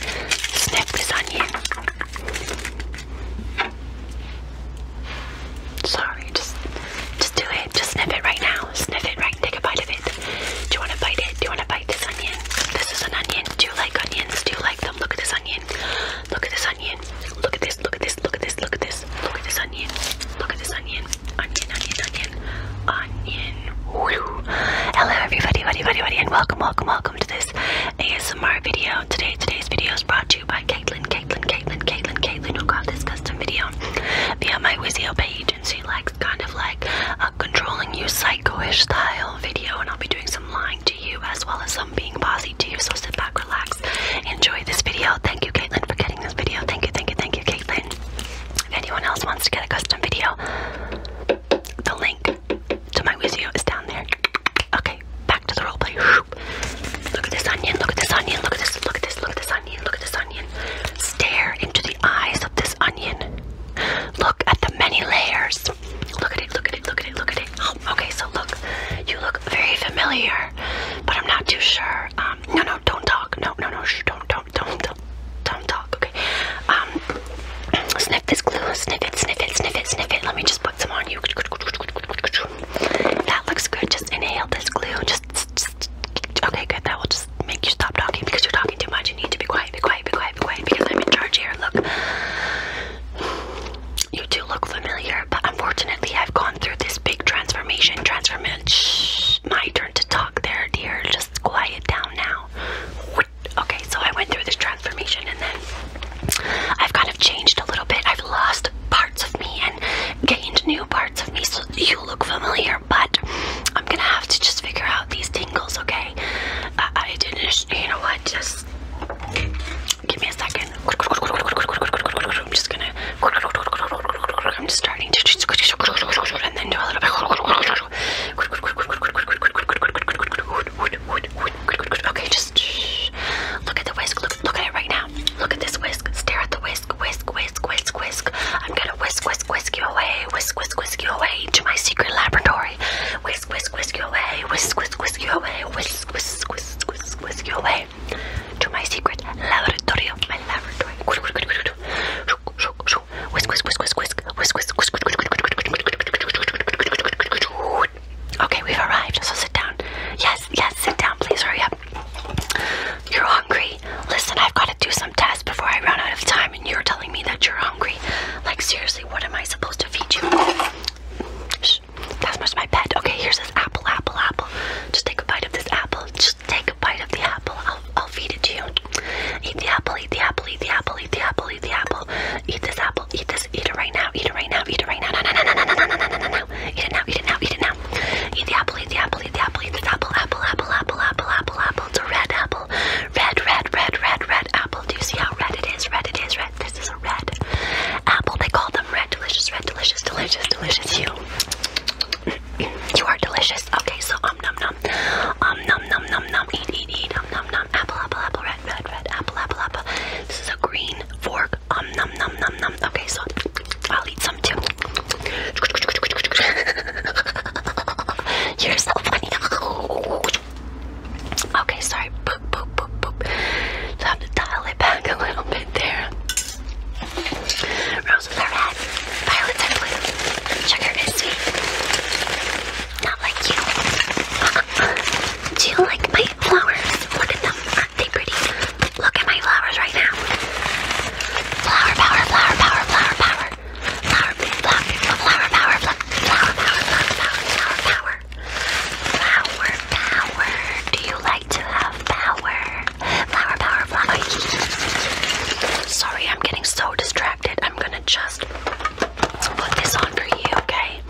Snip this onion. Sorry, just just do it. Just snip it right now. Sniff it right take a bite of it. Do you want to bite it? Do you want to bite this onion? This is an onion. Do you like onions? Do you like them? Look at this onion. Look at this onion. Look at this. Look at this. Look at this. Look at this this. Look at this onion. Look at this onion. Onion, onion, onion. Onion. Woo. Hello everybody, buddy, buddy, buddy, and welcome, welcome, welcome to this ASMR video. Today, today's video is brought to you by Caitlin, Caitlin, Caitlin, Caitlin, Caitlin, who got this custom video via my Wizio page, and she likes kind of like a controlling you psycho-ish style video, and I'll be doing some lying to you as well as some being bossy to you, so sit back, relax Enjoy this video. Thank you, Caitlin, for getting this video. Thank you, thank you, thank you, Caitlin. If anyone else wants to get a custom video, the link to my Wizio is down there. Okay, back to the roleplay. Look at this onion, look at this onion, look at this, look at this, look at this onion, look at this onion. Stare into the eyes of this onion. Look at the many layers. Look at it, look at it, look at it, look at it. okay, so look, you look very familiar, but I'm not too sure were um, no no don't talk no no no shh, don't don't don't don't don't talk okay um sniff this glue sniff it sniff it sniff it sniff it let me just put some on you that looks good just inhale this glue just, just okay good that will just make you stop talking because you're talking too much you need to be quiet be quiet be quiet be quiet because I'm in charge here look you do look familiar but unfortunately I've gone through this big transformation. Transformation. Shh, my turn to talk there, dear. Just quiet down now. Okay, so I went through this transformation and then I've kind of changed a little bit. I've lost parts of me and gained new parts of me. So you look familiar, but I'm gonna have to just figure out these tingles, okay? I, uh, I didn't, you know what? Just give me a second. I'm just gonna. I'm just starting to just and then do a little bit. Okay, just shh. look at the whisk. Look, look at it right now. Look at this whisk. Stare at the whisk. Whisk, whisk, whisk, whisk. I'm gonna whisk, whisk, whisk you away. Whisk, whisk, whisk you away to my secret laboratory. Whisk, whisk, whisk you away. Whisk, whisk, whisk you away. Whisk, whisk, whisk, whisk, whisk you away to my secret laboratory, my laboratory. Whisk, whisk, whisk, whisk, whisk, whisk, whisk, whisk. Okay, we've arrived. So sit down. Yes, yes, sit down, please. Hurry up. You're hungry. Listen, I've got to do some tests before I run out of time, and you're telling me that you're hungry. Like seriously, what am I supposed to feed you? that's much my pet. Okay, here's this apple, apple, apple. Just take a bite of this apple. Shh, just take a bite of the apple. I'll, I'll feed it to you. Eat the apple, eat the apple, eat the apple, eat the apple, eat the apple. Eat this apple, eat this, eat it right now, eat it right now, eat it right now. No, no, no, no, no, no, no, no, no, no. Eat it now, eat it now, eat it now. Eat the apple, eat the apple, eat the apple, eat this apple, apple, apple, apple, apple, apple, apple. It's a red apple. Red, red, red, red, red apple. Do you see how red it is? Red, it is red. This is a red apple. They call them red delicious, red delicious, delicious, delicious. You. You are delicious. Okay, so um num num. Um num num num num. Eat eat eat. Um num num. Apple apple apple red red red. Apple apple apple. This is a green fork. Um num num num num. Okay, so I'll eat some too. You're so funny. Okay, sorry. Boop boop boop boop. So I have to dial it back a little bit there. Roses are red, violets are blue, sugar is sweet. Not like you. Do you like my flowers? Look at them, aren't they pretty? Look at my flowers right now. Flower power, flower power, flower power. Flower, big flower, flower power, flower, flower power, flower power, flower power. Flower power. Do you like to have power? Flower power flower. Sorry, I'm getting so distracted. I'm gonna just put this on for you, okay?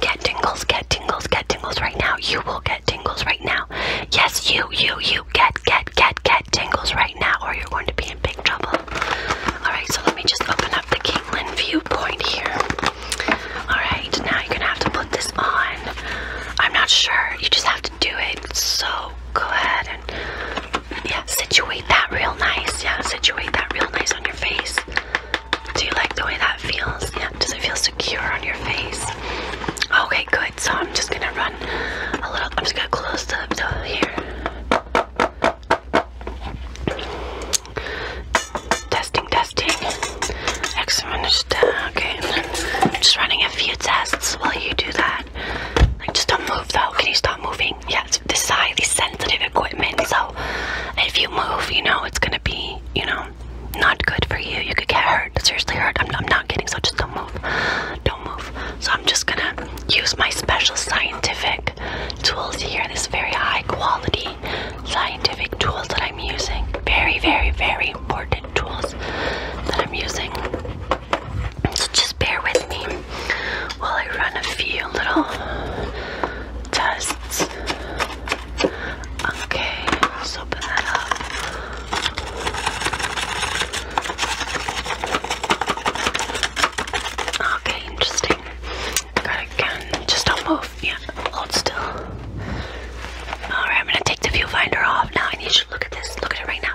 Get tingles, get tingles, get tingles right now. You will get tingles right now. Yes, you, you, you get, get, get, get tingles right now, or you're going to be in big trouble. Alright, so let me just open up the Caitlin viewpoint here. Alright, now you're gonna have to put this on. I'm not sure. You just have to do it. so go ahead and yeah, situate that real nice. Yeah, situate that real nice on your face. Do you like the way that feels? Yeah, does it feel secure on your face? Okay, good. So I'm just gonna run a little. I'm just gonna close the, door here. Testing, testing. Excellent. Uh, okay, I'm just running a few tests while you do that that. just don't move though. Can you stop moving? Yeah, this is highly sensitive equipment, so if you move, you know, it's gonna be, you know, not good for you. You could get hurt, seriously hurt. I'm, not getting so just don't move. Don't move. So I'm just gonna use my special scientific tools here. This very high quality scientific tools that I'm using. Very, very, very important tools that I'm using. So just bear with me while I run a few little tests. Okay, let's open that up. Okay, interesting. Got again. Just don't move. Yeah, hold still. Alright, I'm gonna take the viewfinder off now. I need you to look at this. Look at it right now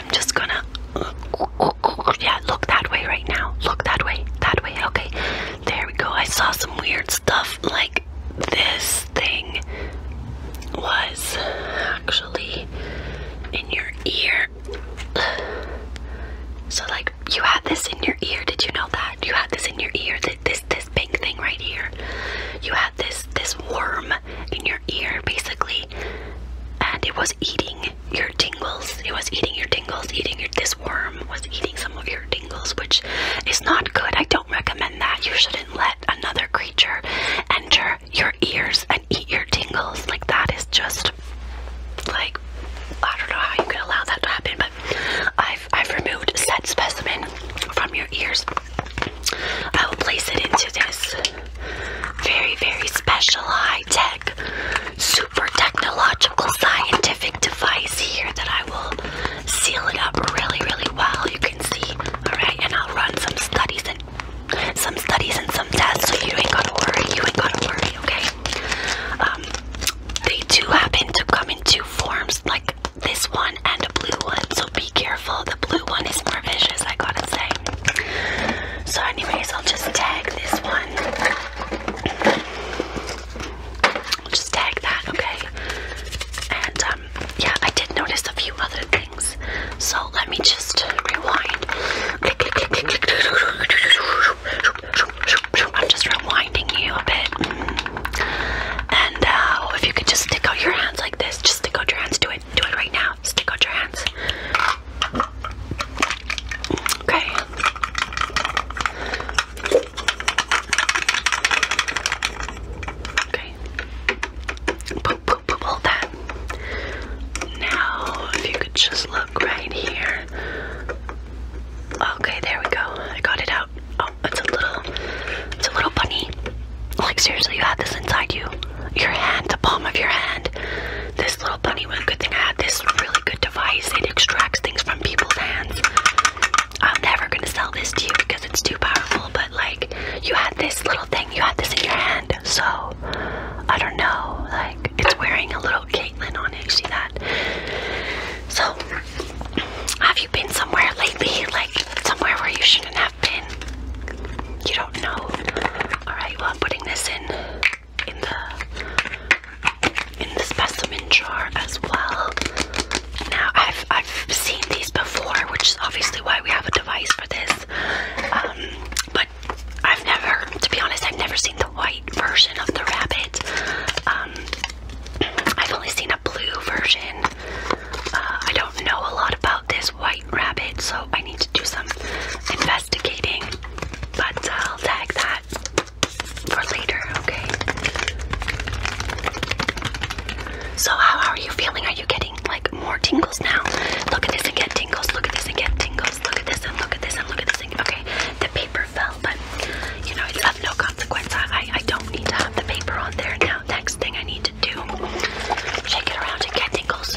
I'm just gonna. Yeah, look that way right now. Look that way. That way. Okay. There we go. I saw some weird stuff like this thing was actually in your ear. So like you had this in your ear, did you know that? You had this in your ear, this this, pink thing right here. You had this this worm in your ear basically and it was eating your tingles. It was eating your tingles, eating your. This worm was eating some of your tingles, which is not good. I don't recommend that. You shouldn't let another creature enter your ears and eat your tingles. Like that is just like I don't know how you can allow that to happen, but I've I've removed said specimen from your ears. I will place it into this very, very special high tech, super technological scientific device here that I will seal it up really, really well. You can see, alright, and I'll run some studies and some studies and some tests, so you ain't gotta worry, you ain't gotta worry, okay? Um, they do happen to come in two forms, like this one and a blue one, so be careful. The blue one is more vicious, I gotta say. So, anyways, I'll just tag this one. just tag that, okay? And um, yeah, I did notice a few other things. So let me just rewind. I'm just rewinding you a bit. And uh, if you could just stick out your hands like this, just stick out your hands, do it. Do it right now. Stick out your hands. Okay. Okay. Poop, poop, poop, hold that. Now, if you could just look right here. Okay, there we go. I got it out. Oh, it's a little, it's a little bunny. Like seriously, you had this inside you your hand, the palm of your hand. This little bunny was a good thing. I had this really good device. It extracts things from people's hands. I'm never gonna sell this to you because it's too powerful, but like you had this little thing, you had this in your hand, so I don't know, like it's wearing a little Caitlyn on it, see that? So have you been somewhere lately, like somewhere where you shouldn't have? You don't know. Alright, well I'm putting this in in the in the specimen jar as well. Now I've I've seen these before, which is obviously why we have a device for this. Um, but I've never, to be honest, I've never seen the white version of the rabbit. Um, I've only seen a blue version. Uh, I don't know a lot about this white rabbit, so I need do some investigating, but I'll tag that for later, okay? So, how are you feeling? Are you getting like more tingles now? Look at this and get tingles, look at this and get tingles, look at this and look at this and look at this okay, the paper fell, but you know, it's of no consequence. I, don't need to have the paper on there now. Next thing I need to do, shake it around and get tingles.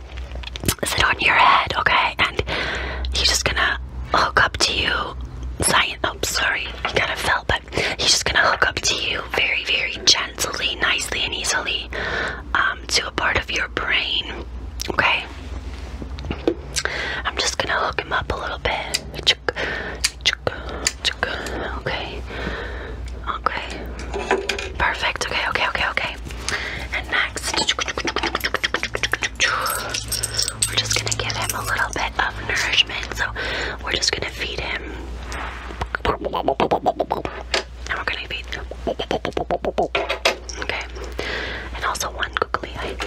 is it on your head, okay? And he's just gonna hook up to you. Science, oh, sorry, he kind of fell, but he's just gonna hook up to you very, very gently, nicely, and easily um, to a part of your brain, okay? I'm just gonna hook him up a little bit. Okay. Okay. Perfect. Okay, okay, okay, okay. Okay, and next, we're just gonna give him a little bit of nourishment. So, we're just gonna feed him. And we're gonna feed him. Okay, and also one googly eye.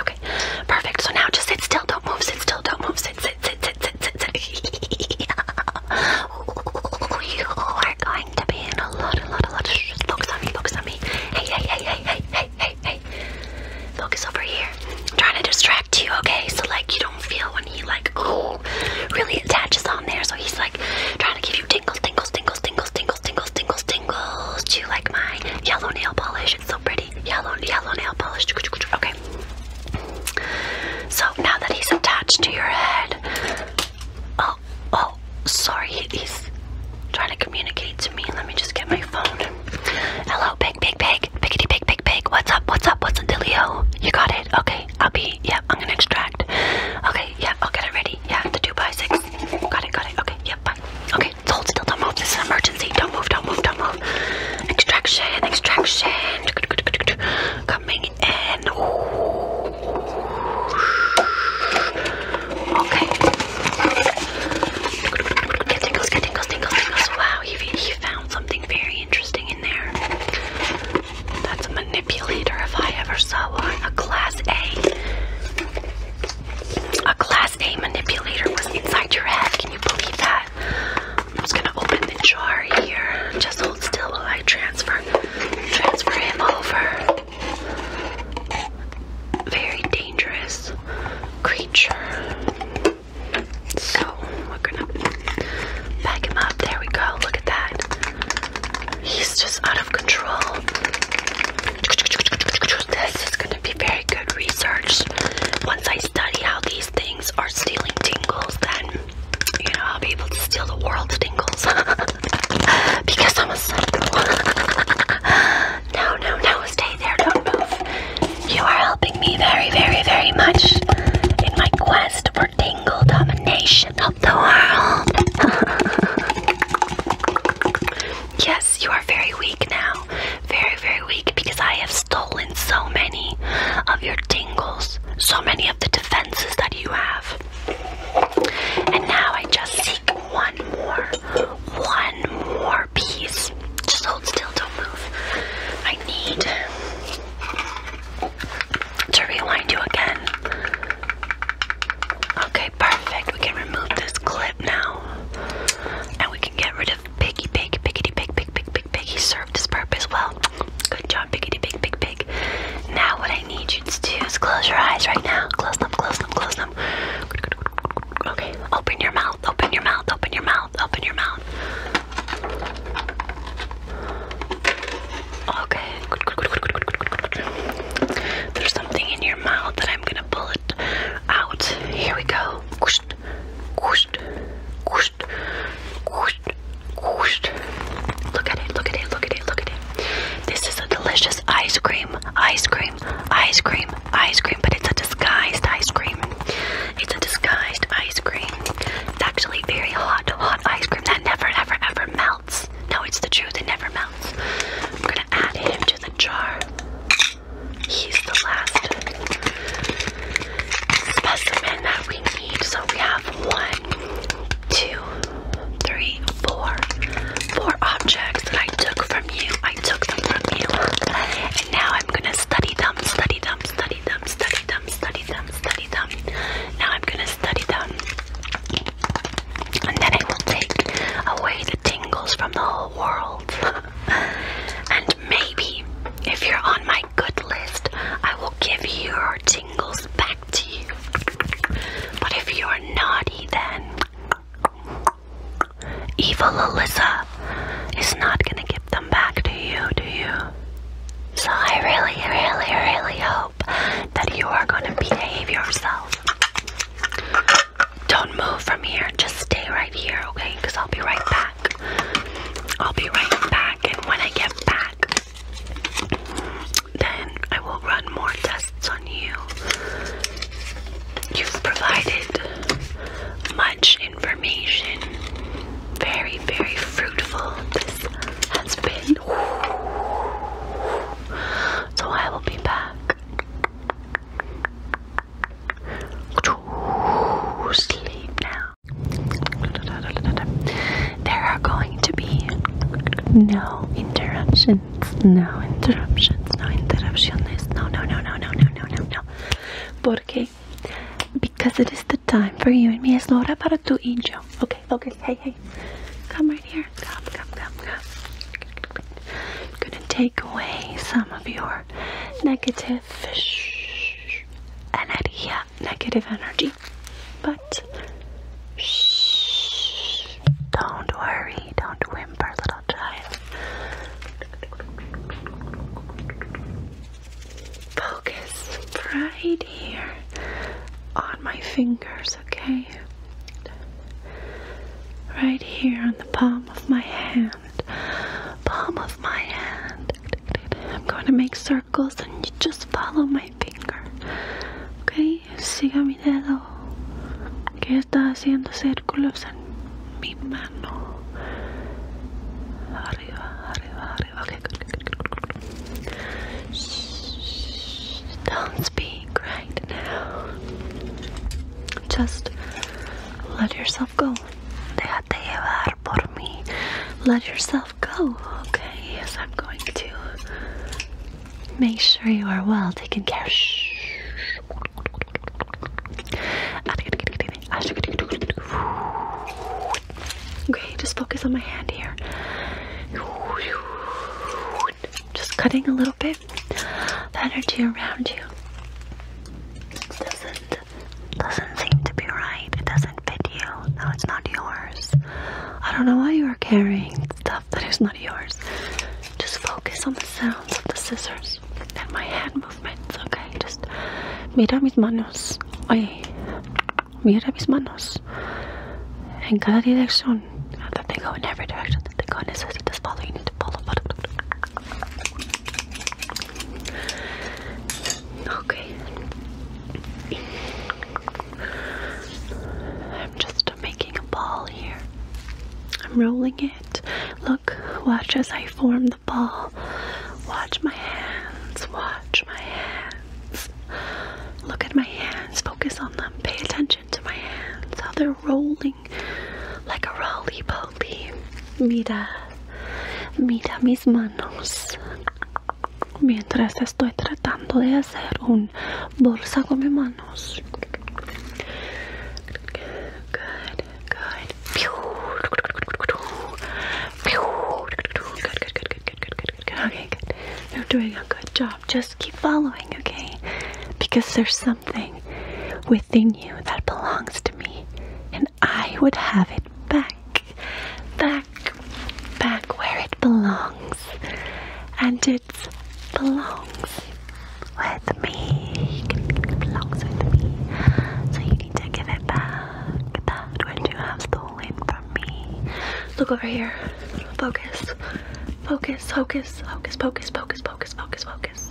Okay, perfect. So now just sit still, don't move, sit still, don't move, sit, sit, sit, sit, sit, sit. you are going to be in a lot, a lot, a lot. Shh, focus on me, focus on me. Hey, hey, hey, hey, hey, hey, hey, Focus over here. trying to distract you, okay? So like you don't feel when he like ooh, really attaches on there. So he's like trying to give you tingles, tingles, tingles, tingles, tingles, tingles, tingles, tingles. Do you like my yellow nail polish? It's so pretty. Yellow, yellow nail polish. Okay. So now that he's attached to your head, oh, oh, sorry, he's trying to communicate to me. Let me just get my phone. Hello, pig, pig, pig, piggity, pig, pig, pig. What's up? What's up? What's a dealio? You got it? Okay, I'll be. Yeah, I'm gonna extract. Okay, yeah, I'll get it ready. Yeah, the two by six. Got it, got it. Okay, yeah, bye. Okay, so hold still. Don't move. This is emergency. Don't move. Don't move. Don't move. Extraction. Extraction. Coming coming Okay. Get tingles, get tingles, tingles, tingles. Wow, he you found something very interesting in there. That's a manipulator if I ever saw one. A class A. A class A manipulator was inside your head. Can you believe that? I'm just gonna open the jar here. Just hold still while I transfer transfer him over. Very dangerous creature. So we're gonna pack him up. There we go. Look at that. He's just out of control. This is gonna be very good research. Once I study how these things are stealing tingles, then you know, I'll be able to steal the world's tingles because I'm a psycho. no, no, no, stay there, don't move. You are helping me very, very, very much in my quest for tingle domination of the world. yes, you are very weak now. Very, very weak because I have stolen so many of your tingles so many of the defenses that you have. And now I just seek one more, one more piece. Just hold still, don't move. I need to realign you again. Okay, perfect. We can remove this clip now. And we can get rid of Piggy Pig, Piggity Pig, Pig, Pig, Pig, Pig. He served his purpose well. Good job, piggy, pig, pig, pig. Now, what I need you to do is close your eyes right now. Close them, close them, close them. Okay, open your mouth, open your mouth, open your mouth, open your mouth. Okay. There's something in your mouth that I'm gonna pull it out. Here we go. Look at it, look at it, look at it, look at it. This is a delicious ice cream, ice cream, ice cream, ice cream, but it's a disguised ice cream. It's a disguised ice cream. It's actually very hot, hot ice cream that never, ever, ever melts. No, it's the truth, it never melts. I'm gonna add him to the jar. He's the last specimen that we need. So we have one, Two, three, four, four objects that I took from you. I took them from you. And now I'm gonna study them, study them, study them, study them, study them, study them. Now I'm gonna study them. And then I will take away the tingles from the whole world. and maybe if you're on my good list, I will give you your Goes back to you. But if you're naughty, then evil Alyssa is not gonna give them back to you, do you? So I really, really, really hope that you are gonna behave yourself. Don't move from here, just stay right here, okay? Because I'll be right back. I'll be right back, and when I get back, then I will run more tests on you. You've provided much information. Very, very fruitful this has been. So I will be back. To sleep now. There are going to be no interruptions, no interruptions, no interruptions, no, no, no, no, no, no, no, no, no. Porque, because it is the time for you and me, es la hora para tu y yo. Okay, okay, hey, hey, come right here, come, come, come, come. I'm gonna take away some of your negative energy negative energy. But shh, don't worry, don't whimper, little child. Focus right here on my fingers, okay? Right here on the palm of my hand. Palm of my hand. I'm going to make circles circles and just follow my finger. Ok, siga mi dedo que está haciendo círculos en mi mano. Arriba, arriba, arriba. Shh, don't speak right now. Just let yourself go. Déjate llevar por mí. Let yourself go, okay? Yes, I'm going to make sure you are well taken care of. Okay, just focus on my hand here. Just cutting a little bit the energy around you. Doesn't doesn't seem to be right. It doesn't video. No, it's not yours. I don't know why you are carrying stuff that is not yours. Just focus on the sounds of the scissors and my hand movements, okay? Just mira mis manos. Oye, mira mis manos. En cada dirección. That they go in every direction. That they go in this, this, this follow. You need to follow. Okay. I'm just making a ball here. I'm rolling it. Look, watch as I form the ball. Watch my hands. Watch my hands. Look at my hands. Focus on them. Pay attention to my hands. How they're rolling like a roly poly. Mira. Mira mis manos mientras estoy tratando de hacer un bolsa con mis manos good, good. okay good you're doing a good job just keep following okay because there's something within you that belongs to me and I would have it back back, back where it belongs, and it belongs with me. belongs with me. So you need to give it back. That which you have stolen from me. Look over here. Focus. Focus. Focus. Focus. Focus. Focus. Focus. Focus. Focus.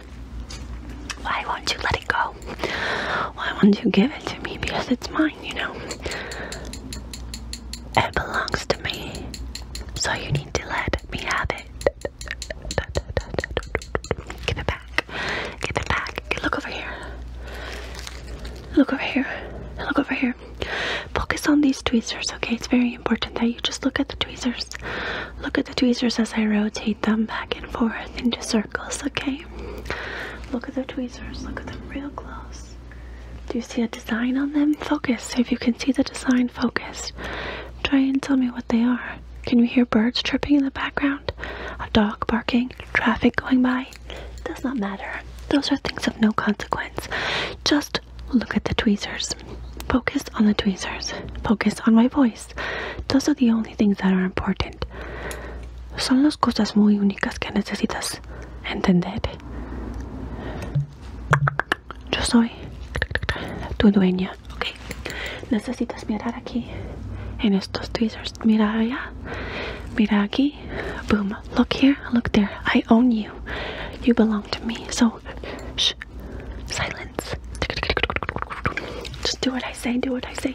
why won't you let it go? Why won't you give it to me? Because it's mine, you know? It belongs to me. So you need to let me have it. Give it back. Give it back. Look over here. Look over here. Look over here. Focus on these tweezers, okay? It's very important that you just look at the tweezers. Look at the tweezers as I rotate them back and forth into circles okay? Look at the tweezers, look at them real close. Do you see a design on them? Focus. If you can see the design, focus. Try and tell me what they are. Can you hear birds chirping in the background? A dog barking? Traffic going by? Does not matter. Those are things of no consequence. Just look at the tweezers. Focus on the tweezers. Focus on my voice detalles. Those are the only things that are important. Son las cosas muy únicas que necesitas entender. Yo soy tu dueña, ¿ok? Necesitas mirar aquí en estos tweezers. Mira allá, mira aquí. Boom. Look here, look there. I own you. You belong to me. So, shh. Silence. Just do what I say, do what I say.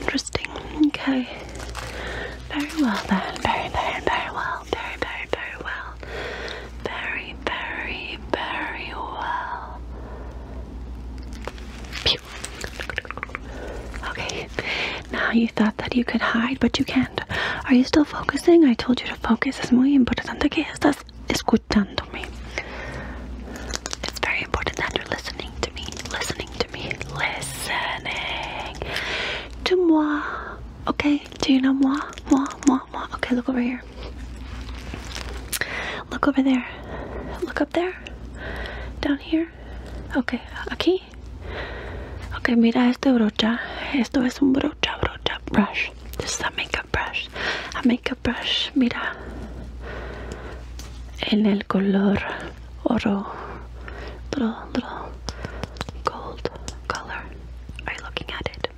Interesting. Okay. Very well then. Very, very, very well. Very, very, very well. Very, very, very well. Pew. Okay. Now you thought that you could hide, but you can't. Are you still focusing? I told you to focus. Es muy importante que estás escuchándome. It's very important that you're listening to me, listening to me, listening to moi. Okay, do you know moi? Moi, moi, moi. Okay, look over here. Look over there. Look up there. Down here. Okay, aquí. Okay, mira este brocha. Esto es un brocha, brocha, brush. Does that make makeup brush a makeup brush mira en el color oro little, little gold color are you looking at it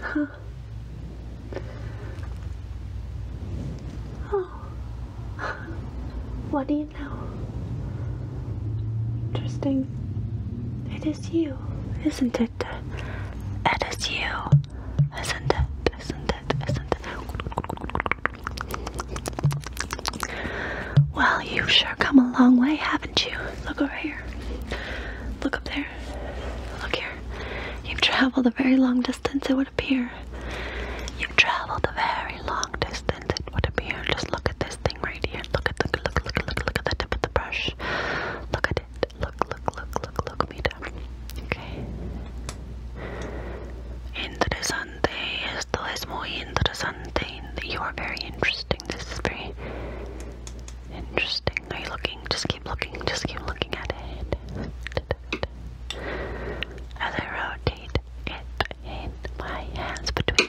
huh. Oh, What do you know? Interesting. It is you, isn't it? It is you, isn't it? Isn't it? Isn't it? Well, you've sure come a long way, haven't you? Look over here. Look up there. Look here. You've traveled a very long distance, it would appear. You've traveled a very long distance, it would appear. Just look at this thing right here. Look at the look, at the tip of the brush. Look at it. Look, look, look, look, look, mira. Okay. Interesante. Esto es muy interesante. You are very interesting. This is very interesting. Are you looking? Just keep looking. Just keep looking at it. As I rotate it in my hands between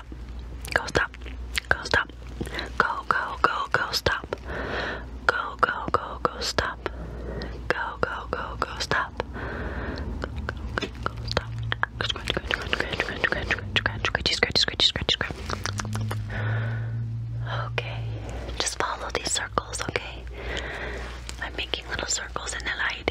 stop. Go stop. Go stop. Go go go go stop. Go go go go stop. Go go go go stop. Go go go stop. Scratch scratch scratch scratch scratch scratch scratch scratch scratch scratch. Okay. Just follow these circles, okay? I'm making little circles in the light.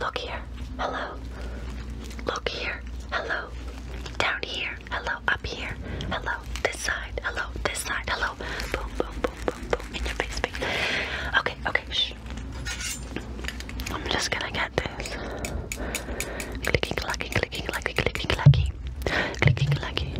Look here, hello. Look here, hello. Down here, hello. Up here, hello. This side, hello. This side, hello. Boom, boom, boom, boom, boom. In your face, big. Okay, okay. Shh. I'm just gonna get this. Clicking, clacking, clicking, clacking, clicking, clacking, clicking, clacking.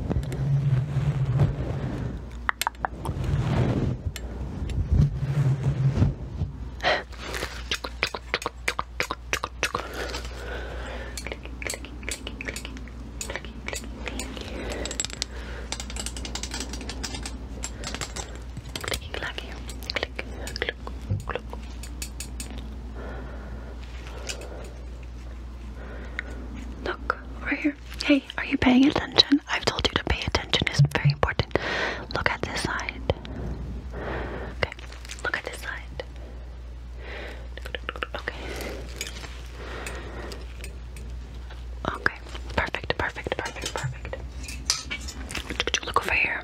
Look, right here here. Hey, are you paying attention? I've told you to pay attention. It's very important. Look at this side. Okay, look at this side. Okay. Okay, perfect, perfect, perfect, perfect. Look over here.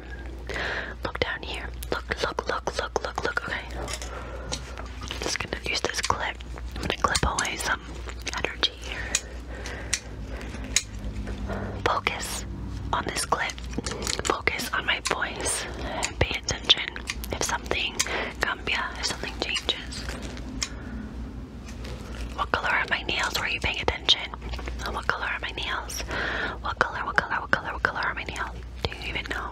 Look down here. Look, look, look, look, look, look. Okay. I'm just gonna use this clip. I'm gonna clip always energy here. Focus on this clip. Focus on my voice. Pay attention if something cambia, if something changes. What color are my nails? Were you paying attention? What color are my nails? What color, what color, what color, what color are my nails? Do you even know?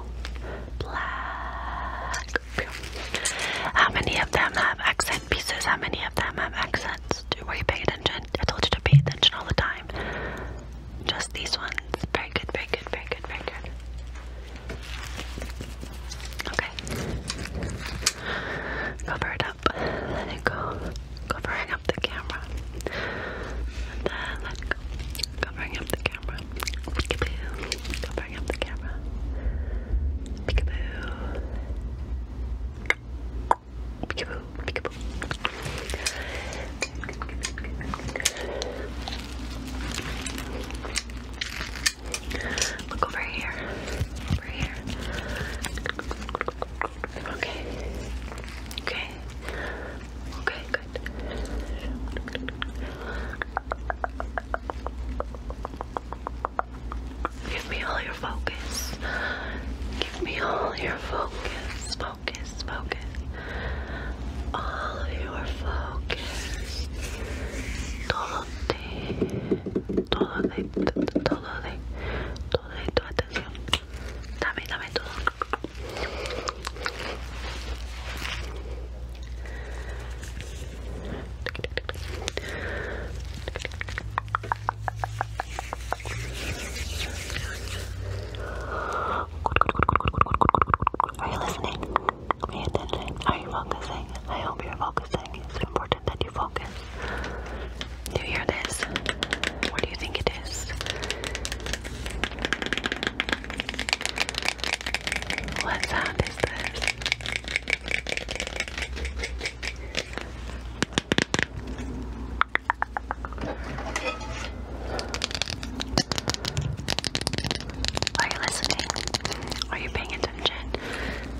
Black. How many of them have accents? and pieces, how many of them have accents? Were you paying attention? I told you to pay attention all the time. Just these ones. Very good, very good, very good, very good. Okay. Cover it up. Let it go. Covering up the camera. And then let it go. Covering up the camera. Peekaboo. Covering up the camera. Peekaboo. Peekaboo, peekaboo. Look over here. Over here. Okay. Okay. Okay, good. Give me all your focus. Give me all your focus. Focus, focus. All your focus. Todo de, todo de, todo de, todo de tu atención. Dame, dame todo. Are you listening? Pay attention. Are you focusing? I hope you're focusing. It's important that you focus. Do you hear this? What do you think it is? What sound is this? Are you listening? Are you paying attention?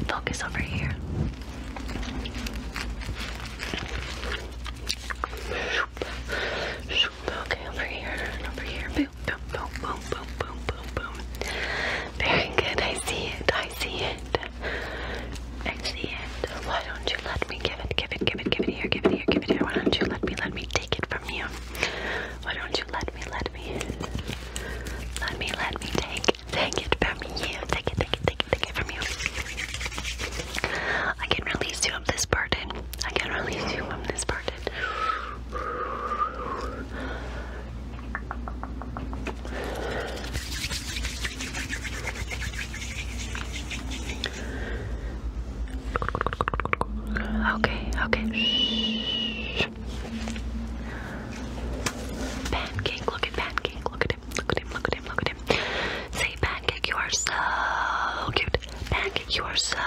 Focus over here. Okay, over here, over here. boom, boom, boom, boom, boom, boom, boom. Very good. I see it. I see it it. Why don't you let me give it, give it, give it, give it here, give it here, give it here? Why don't you let me, let me take it from you? Why don't you let me, let me, let me, let me take, take it from you? Take it, take it, take it, take it from you. I can release you of this burden. I can release you from this burden. Okay, okay. Shh. Pancake, look at Pancake, look at him, look at him, look at him, look at him. Say, Pancake, you are so cute. Pancake, you are so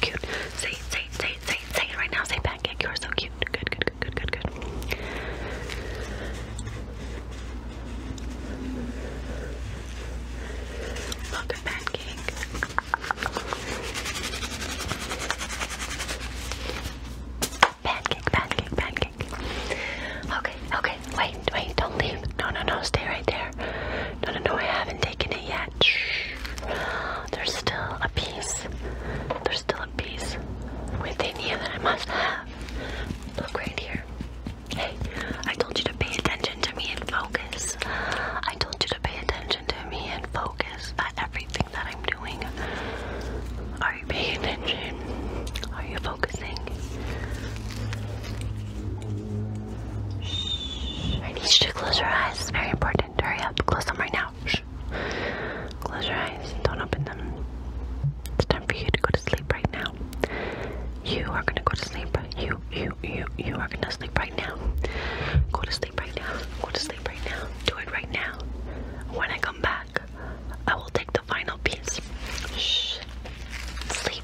cute. Say, say, say, say, say it right now. Say, Pancake, you are so Good, good, good, good, good, good. Look, pancake. Pancake, pancake, pancake. Okay, okay, wait, wait, don't leave. No, no, no, stay right there. No, no, no, I haven't taken it yet. Shh. There's still a piece. There's still a piece within you that I must have. Look right here. Hey, I told you to pay attention to me and focus. I told you to pay attention to me and focus at everything that I'm doing. Are you paying attention? Are you focusing? I need you to close your eyes. It's very important. Hurry up. Close them right now shh. Close your eyes. Don't open them. It's time for you to go to sleep right now. You are gonna go to sleep. You, you, you, you are gonna sleep right now. Go to sleep right now. Go to sleep right now. Do it right now. When I come back, I will take the final piece. Sleep.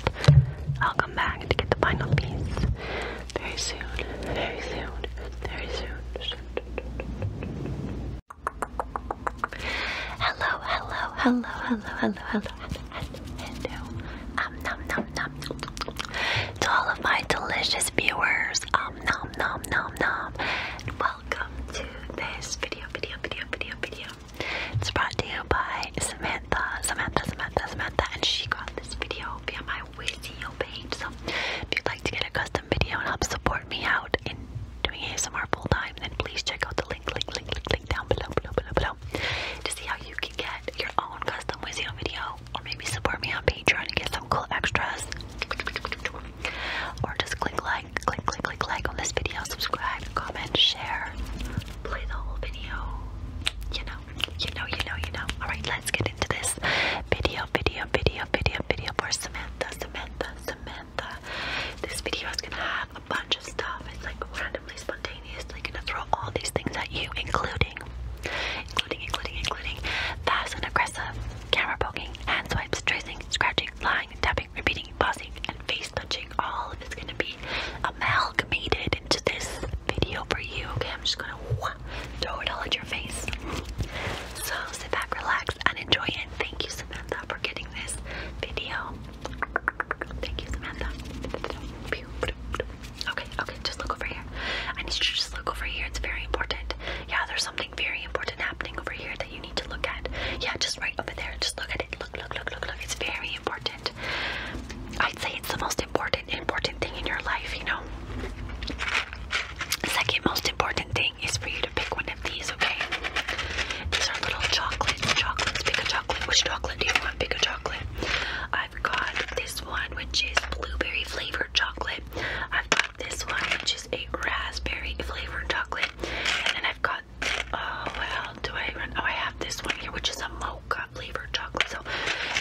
I'll come back to get the final piece. Very soon. Very soon. Very soon. Hello, hello, hello, hello, hello, hello, hello, um, nom, nom, nom. To all of my delicious viewers, um, nom, nom, nom, nom. Welcome to this video, video, video, video, video. It's brought to you by Samantha, Samantha, Samantha, Samantha, and she got this video via my Wizio page. So if you'd like to get a custom video and help support me out in doing ASMR full time, then please check out the link, link, link, link, link down below, below, below, below to see how you can get your own custom Wizio video, or maybe support me on Patreon and get some cool extras. Or just click like, click, click, click like on this video, subscribe, comment, share, play the whole video. You know, you know, you know, you know. Alright, let's get into this video, video, video, video, video for Samantha, Samantha, Samantha. Uh, this video is gonna have a bunch of stuff. It's like randomly spontaneously gonna throw all these things at you, including, including, including, including fast and aggressive camera poking, hand swipes, tracing, scratching, lying, tapping, repeating, pausing, and face touching. All of it's gonna be amalgamated into this video for you. Okay, I'm just gonna throw it all at your face. So sit back, relax, and enjoy it. Thank you so. Samantha, for getting this video. Thank you, Samantha. Okay, okay, just look over here. I need you to just look over here. It's very important. Yeah, there's something very important happening over here that you need to look at. Yeah, just right over there. Just look at it. Look, look, look, look, look. It's very important. I'd say it's the most important, important thing in your life, you know? second most important thing is for you to pick one of these these, okay? These are little chocolates, chocolates, pick a chocolate. Which chocolate do you want? Pick a chocolate. I've got this one, which is blueberry flavored chocolate. I've got this one, which is a raspberry flavored chocolate. And then I've got, oh, well, do I run? Oh, I have this one here, which is a mocha flavored chocolate. So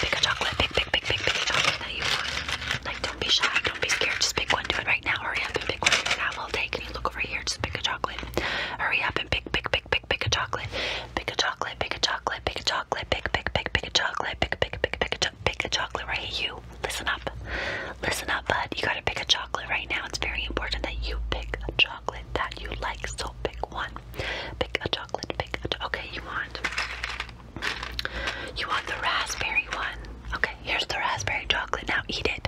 pick a chocolate, pick, pick, pick, pick, pick a chocolate that you want. Like, don't be shy. Don't be scared. Just pick one. Do it right now. Hurry up and pick one. You have all day. Can you look over here? Just pick a chocolate. Hurry up and pick, pick, pick, pick, pick a chocolate. Pick a chocolate. Pick a chocolate. Pick a chocolate. Pick, pick, pick, pick a chocolate. Pick, pick, pick, pick a chocolate. Pick a chocolate right here. You listen up. Listen up, bud. You gotta pick a chocolate right now. It's very important that you pick a chocolate that you like. So pick one. Pick a chocolate. Pick a. Cho okay, you want. You want the raspberry one. Okay, Here's the raspberry chocolate. Now eat it.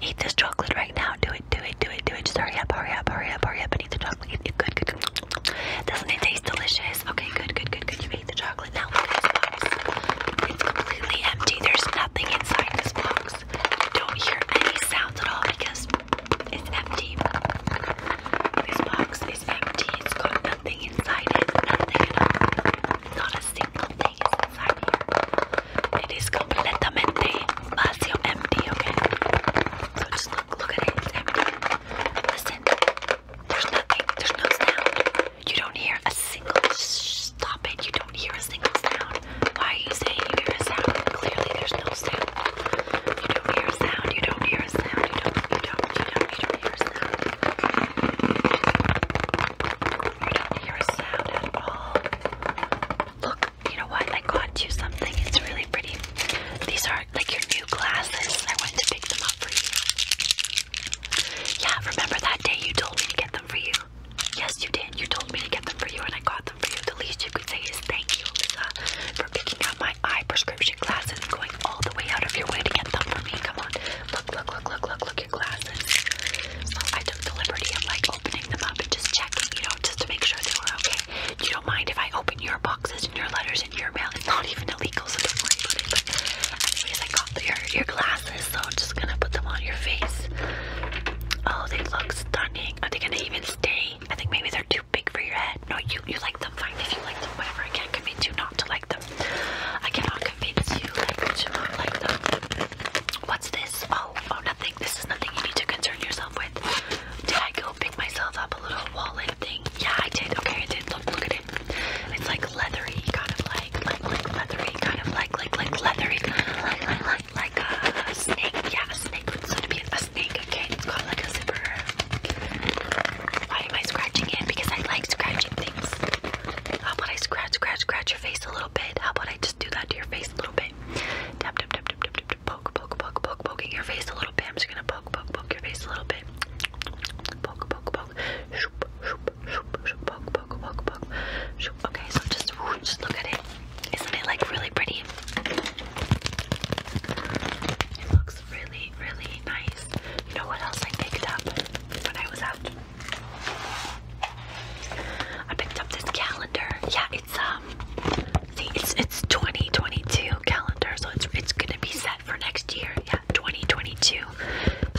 Eat this chocolate right now. Do it, do it, do it, do it. Just hurry up, hurry up, hurry up, hurry up and eat the chocolate. Eat it. Good, good, good. Doesn't it taste delicious? Okay, good, good, good, good. You ate the chocolate. Now look at this box. It's completely empty. There's nothing inside this box. You don't hear any sounds at all because it's empty. This box is empty. It's got nothing inside it. Nothing at all. Not a single space inside here. It is completamente empty, okay? So just look, look at it, Listen, there's nothing, there's no sound. You don't hear a single, stop it, you don't hear a single sound. Why are you saying you hear a sound? Clearly there's no sound. You don't hear a sound, you don't hear a sound, you don't, you don't, you don't, you don't hear a sound. You don't hear a sound at all. Look, you know what? I got you something. It's really pretty. These are like your new glasses. I went to pick them up for you. Yeah, remember that day you told me to get them for you? Yes, you did. You told me to get them for you, and I got them for you. The least you could say is thank you, Lisa, for picking up my eye prescription glasses and going all the way out of your way to get them for me. Come on. Look, look, look, look, look, look glasses. So I took the liberty of like opening them up and just checking, you know, just to make sure they were okay. You don't mind if I open your boxes and your letters and your mail. not even illegal, so anyways, I got your your glasses, so I'm just gonna put them on your face. Oh, they look stunning. Are they gonna even stay? I think maybe they're too big for your head. No, you you like them fine if you like them, whatever. I can't convince you not to like them. I cannot convince you like to like them. What's this? Oh, oh, nothing. This is nothing you need to concern yourself with. Did I go pick myself up a little wallet thing? Yeah, I did. Okay, I did. Look, look at it. It's like leathery, kind of like, like, like leathery, kind of like, like, like leathery, like, like, like, a, snake. Yeah, a snake It's gonna be a snake. Okay, it's called like a zipper. Why am I scratching it? Because I like scratching things. How about I scratch, scratch, scratch your face a little bit? How about I just do that to your face a little bit. poke, poke, poke, poke, poking your face a little bit. I'm just gonna poke, poke, poke your face a little bit. Poke, poke, poke. Okay, so just, just look at it. Isn't it like really pretty? It looks really, really nice. You know what else I picked up when I was out I picked up this calendar. Yeah, it's um see it's it's 2022 calendar, so it's it's gonna be set for next year. Yeah, 2022.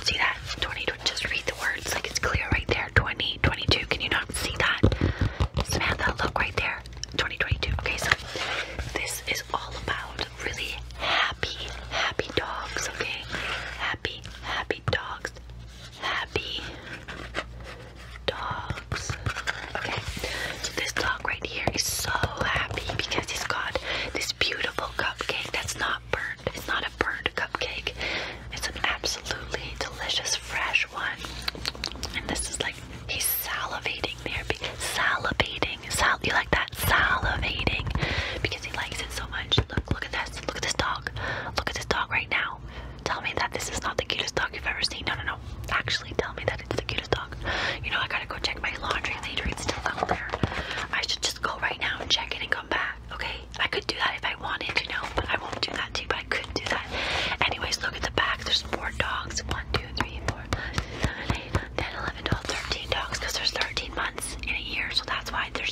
See that? 20 just read the words like it's clear right there. 2022. Can you not see that? Samantha, look right there. 2022. Okay, so this is all about really happy, happy dogs, okay? Happy, happy dogs. Happy dogs. Okay, so this dog right here is so happy because he's got this beautiful cupcake that's not burnt. It's not a burnt cupcake. It's an absolutely delicious fresh one. And this is like he's salivating there because salivating. Sal you like that? Salivating because he likes it so much. Look, look at this. Look at this dog. Look at this dog right now. Tell me that this is not the cutest dog you've ever seen. No, no, no. Actually, tell me that it's the cutest dog. You know, I gotta go check my laundry later. It's still out there. I should just go right now and check it and come back. Okay? I could do that if I wanted, you know, but I won't do that too, but I could do that. Anyways, look at the back. There's four dogs. One, two, three, four. 10, 11, 12, 13 dogs because there's 13 months in a year, so that's why there's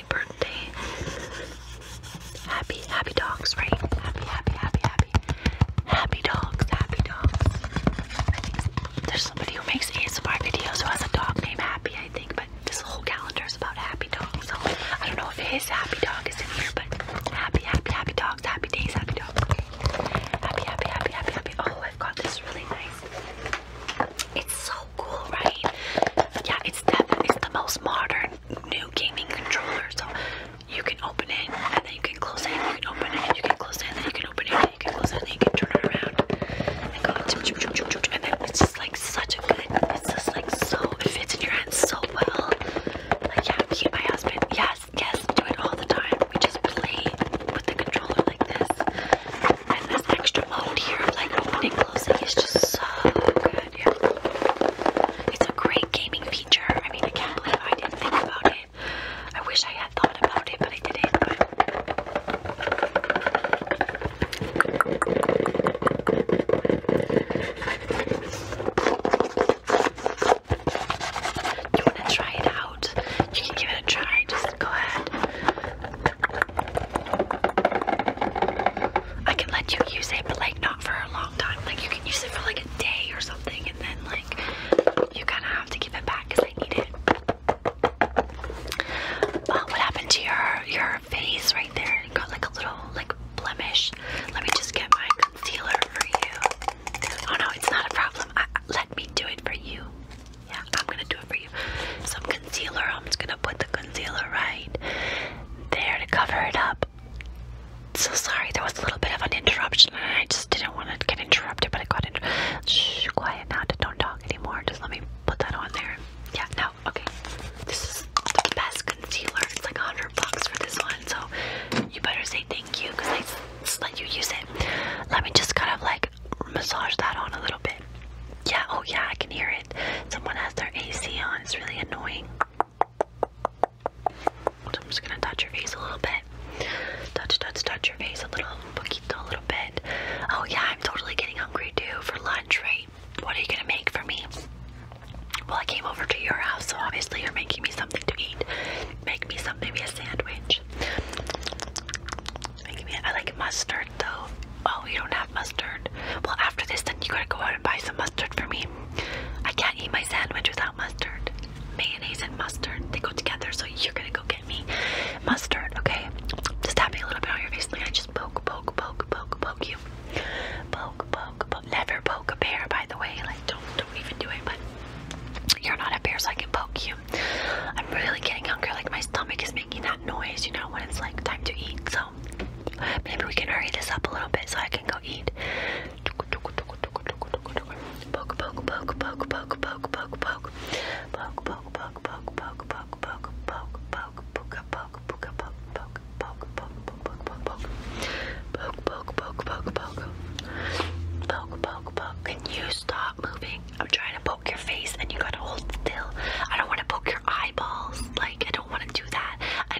birthday, birthday. Happy, happy dogs, right? Happy, happy, happy, happy. Happy dogs, happy dogs. I think there's somebody who makes ASMR videos who has a dog named Happy, I think, but this whole calendar is about happy dogs. So I don't know if his happy dog is in here, but happy, happy, happy dogs, happy days, happy dogs. Happy, happy, happy, happy, happy. Oh, I've got this really nice. It's so cool, right? Yeah, it's the, the most modern new gaming controller. So you can open it and then you can close it, you can open it, and you can close it, then you can open it, and you can close it, then you can turn it around and go And then it's just like such a good, it's just like so, it fits in your hands so well. Like, yeah, me and my husband, yes, yes, do it all the time. We just play with the controller like this. And this extra mode here of like opening, closing is just so good. It's a great gaming feature. I mean, I can't believe I didn't think about it. I wish I had thought about it, but I didn't. You want to try it out? You can give it a try. Just go ahead. I can let you use a but not for a long time. Like you can use it for like a day or something, and then like you are gonna have to give it back because I need it. Uh, what happened to your your face right there? You got like a little like blemish. Let me just get my concealer for you. Oh no, it's not a problem. let me do it for you. Yeah, I'm gonna do it for you. So I'm going concealer. I'm just gonna put the concealer right there to cover it up. So sorry, there was a little bit of an interruption, and I just didn't want to get interrupted, but I got inter quiet now. Don't talk anymore. Just let me put that on there. Yeah, no, okay. This is the best concealer. It's like a hundred bucks for this one, so you better say thank you because I let you use it. Let me just kind of like massage that on a little bit. Yeah, oh yeah, I can hear it. Someone has their AC on, it's really annoying. I'm just gonna touch your face a little bit. Touch, touch, touch your face a little, poquito, a little bit. Oh yeah, I'm totally getting hungry too for lunch, right? What are you gonna make for me? Well, I came over to your house, so obviously you're making me something to eat. Make me some, maybe a sandwich. Make me, I like mustard though. Oh, you don't have mustard. Well, after this, then you gotta go out and buy some mustard for me. I can't eat my sandwich without mustard. Mayonnaise and mustard, they go together, so you're gonna go get me mustard, okay? Just tap me a little bit on your face, like I just poke, poke, poke, poke, poke you. Poke, poke, poke. Never poke a bear, by the way. Like, don't, don't even do it, but you're not a bear, so I can poke you. I'm really getting hungry. Like, my stomach is making that noise, you know, when it's like time to eat maybe we can hurry this up a little bit so I can go eat. Poke, poke, poke, poke, poke, poke, poke, poke. Poke, poke, poke, poke, poke, poke, poke, poke, poke, poke, poke, poke, poke, poke, poke, poke, poke, poke, poke. Poke, poke, poke, poke, poke. Poke, poke, poke. Can you stop moving? I'm trying to poke your face and you gotta hold still. I don't wanna poke your eyeballs. Like I don't wanna do that. I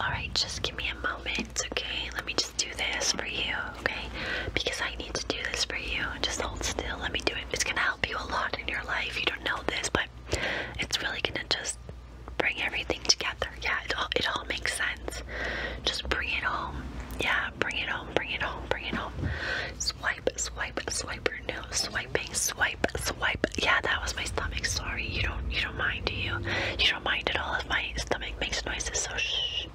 Alright, just give me a moment, okay? Let me just do this for you, okay? Because I need to do this for you. Just hold still, let me do it. It's gonna help you a lot in your life. You don't know this, but it's really gonna just bring everything together. Yeah, it all, it all makes sense. Just bring it home. Yeah, bring it home, bring it home, bring it home. Swipe, swipe, swiper, no, swiping, swiping swipe, swipe. Yeah, that was my stomach. Sorry, you don't, you don't mind, do you? You don't mind at all if my stomach makes noises. So shh.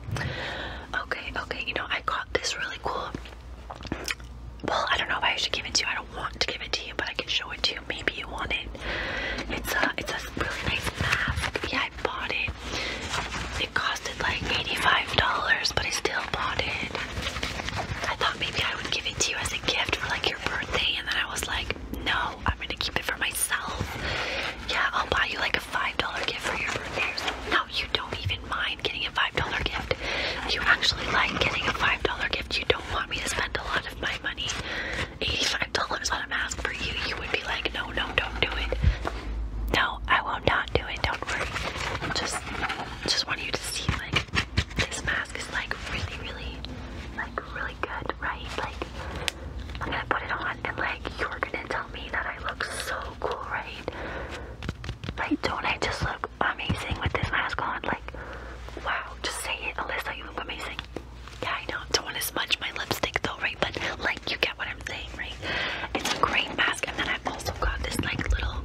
Okay, okay. You know, I got this really cool. Well, I don't know if I should give it to you. I don't want to give it to you, but I can show it to you. Maybe you want it. It's a, it's a really nice mask. Yeah, I bought it. It costed like eighty-five dollars, but I still bought it. I thought maybe I would give it to you as a gift for like your birthday, and then I was like, no, I'm gonna keep it for myself. Yeah, I'll buy you like a $5 gift for your birthday No, you don't even mind getting a $5 gift. You actually like getting a $5 gift. You don't want me to spend a lot of my money. $85 on a mask for you. You would be like, no, no, don't do it. No, I will not do it. Don't worry. Just, just want you to see like this mask. It's like really, really, like really good, right? Like, I'm gonna put it on and like you're gonna tell me that I look so cool, right? Right? don't I just look amazing with this mask on? Like, wow, just say it, Alyssa, you look amazing. Yeah, I know, don't wanna smudge my lipstick though, right? But like, you get what I'm saying, right? It's a great mask, and then I've also got this like little.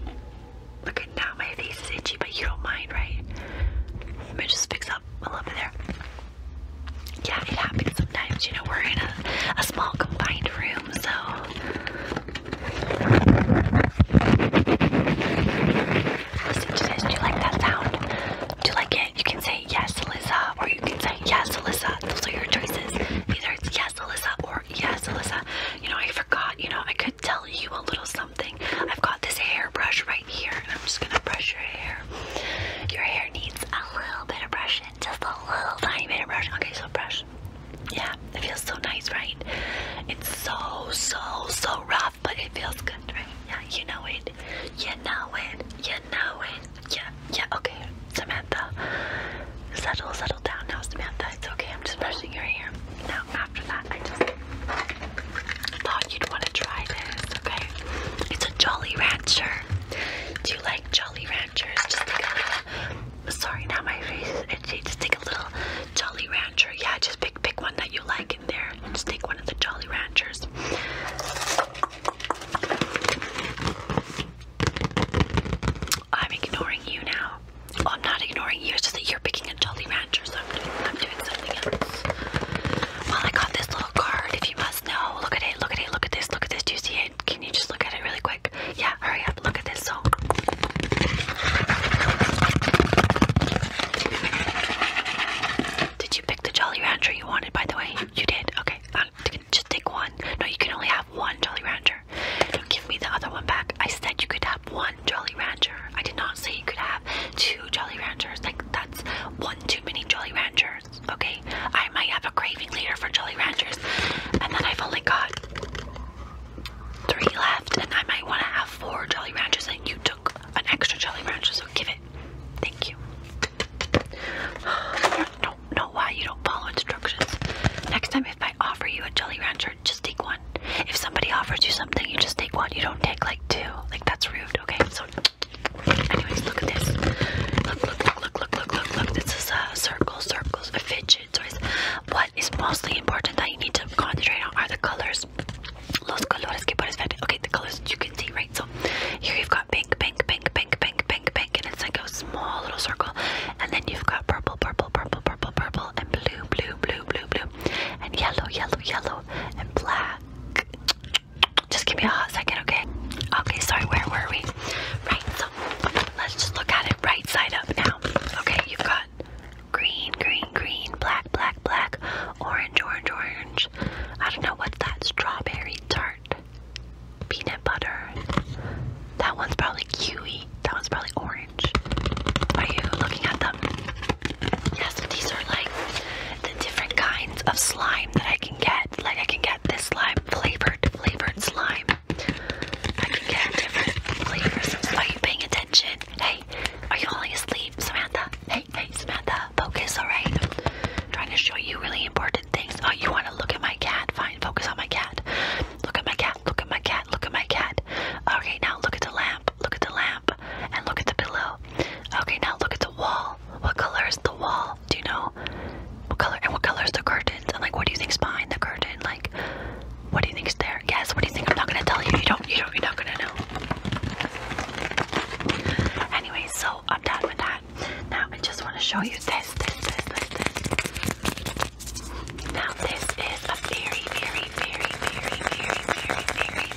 Look at now, my face is itchy, but you don't mind, right? Let me just fix up up. we there. Yeah, it happens sometimes. You know, we're in a, a small confined room, so. Listen to this. Do you like that sound? Do you like it? You can say yes, Alyssa, or you can say yes, Alyssa. Those are your choices. Either it's yes, Alyssa, or yes, Alyssa. You know, I forgot. You know, I could tell you a little something. I've got this hairbrush right here, I'm just gonna brush your hair. Your hair needs a little bit of brushing, just a little tiny bit of brushing. Okay, so brush. Yeah, it feels so nice, right? It's so, so, so rough, but it feels good, right? Yeah, you know it. You know it. You know it. Yeah, yeah, okay. Samantha, settle, settle down now, Samantha. It's okay, I'm just brushing your hair. Now, after that, I just Thought you'd want to try this, okay? It's a Jolly Rancher. Do you like Jolly Ranchers? Just take a little. Sorry, now my face Just take a little Jolly Rancher. Yeah, just pick pick one that you like in there. just take one of the Jolly Ranchers. I'm ignoring you now. Oh, I'm not ignoring you. It's that you're picking a Jolly Rancher. I'm doing, something else. Well, I got this little card, if you must know. Look at it, look at it, look at this, look at this. Do you see it? Can you just look at it really quick? Yeah, hurry up, look at this. So, did you pick the Jolly Rancher you wanted, by the way? You did? Okay, just take one. No, you can only have one Jolly Rancher. Don't give me the other one back. I said you could have one Jolly Rancher. I did not say you could have two Jolly Ranchers. Like, that's one too many Jolly Ranchers, okay? I might have a craving later for Jolly Ranchers, and then I've only got three left, and I might want to have four Jolly Ranchers, and you took an extra Jolly Rancher, so give it. Thank you. I don't know why you don't follow instructions. Next time, if I offer you a Jolly Rancher, just take one. If somebody offers you something, you just take one. You don't take like two. Like, that's rude, okay? So Anyways, look at this. Look, look, look, look, look, look, look, look. This is a uh, circle, circles, a fidget. So what is mostly important that you need to concentrate on are the colors. Los colores que puedes ver. Okay, the colors that you can see, right? So here you've got pink, pink, pink, pink, pink, pink, pink, and it's like a small little circle. And then you've got purple, purple, purple, purple, purple, and blue, blue, blue, blue, blue, and yellow, yellow, yellow, and black. Just give me a hot second, okay? Okay, sorry, where were we? Right, so let's just look at it right side up now. Okay, you've got green, green, green, black, black, black, orange, orange, orange. I don't know what that strawberry tart, peanut butter. That one's probably kiwi. That one's probably orange. Are you looking at them? Yes, these are like different kinds of slime that I can get. Like I can get this slime flavored, flavored slime. I can get different flavors. are you paying attention? Hey, are you falling asleep, Samantha? Hey, hey, Samantha, focus, alright? Trying to show you really important things. Oh, you want to look at my cat? Fine, focus on my cat. Look at my cat, look at my cat, look at my cat. Okay, now look at the lamp, look at the lamp, and look at the pillow. Okay, now look at the wall wall? What color is the wall? Do you know? What color and what color is the curtains? And like, what do you think's behind the curtain? Like, what do you think's there? Guess. What do you think? I'm not gonna tell you. You don't. You don't. You're not gonna know. Anyway, so I'm done with that. Now I just want to show you this. This. This. This. This. Now this is a very, very, very, very, very, very, very,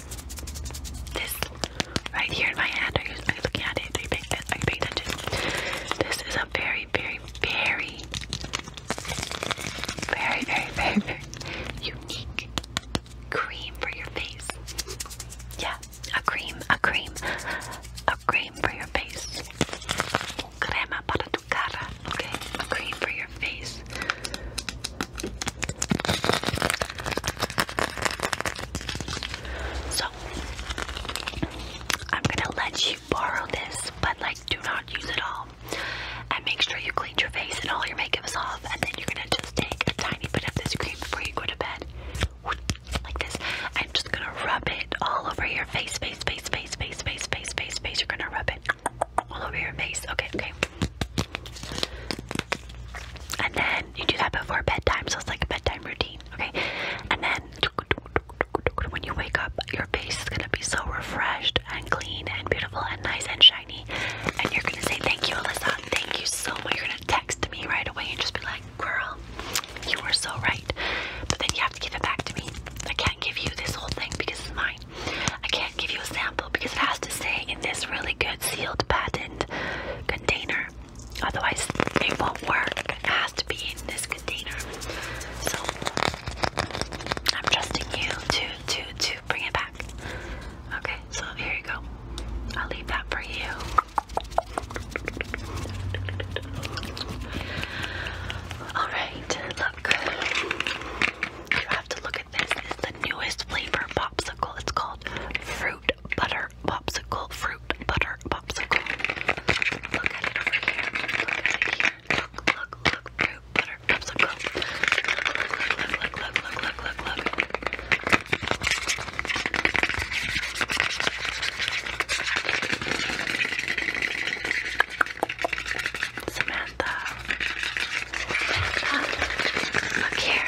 this right here in my hand. Are you, are you looking at it? Are you paying, are you paying attention? This is a very, very, very, very, very, very, very unique cream for your face. Yeah, a cream, a cream, a cream for your face. Crema para tu cara. Okay, a cream for your face. So I'm gonna let you borrow this, but like do not use it all. And make sure you clean your face and all your makeup is off, and then you're gonna just take a tiny bit of this cream before you go to bed. Like this. I'm just gonna rub it all over your face, face, face, face, face, face, face, face, face. You're gonna rub it all over your face. Okay, okay. And then you do that before bedtime, so it's like a bedtime routine, okay? And then when you wake up, your face is gonna be so refreshed and clean and beautiful and nice and shiny. And you're gonna say, Thank you, Alyssa. Thank you so much. You're gonna text me right away and just be like, Girl, you were so right. But then you have to give it back to me. I can't give you this whole thing because it's mine. I can't give you a sample because it has to stay in this really good sealed patent container. Otherwise, it won't work. It has to be in this container. So I'm trusting you to to to bring it back. Okay, so here you go. I'll leave that for you. Alright, look. You have to look at this. It's the newest flavor popsicle. It's called Fruit Butter butter popsicle fruit butter popsicle. Look at it over here. Look at it here. Look, look, look, fruit butter popsicle. Look, look, look, look, look, look, look, look. Samantha. Samantha. Look here.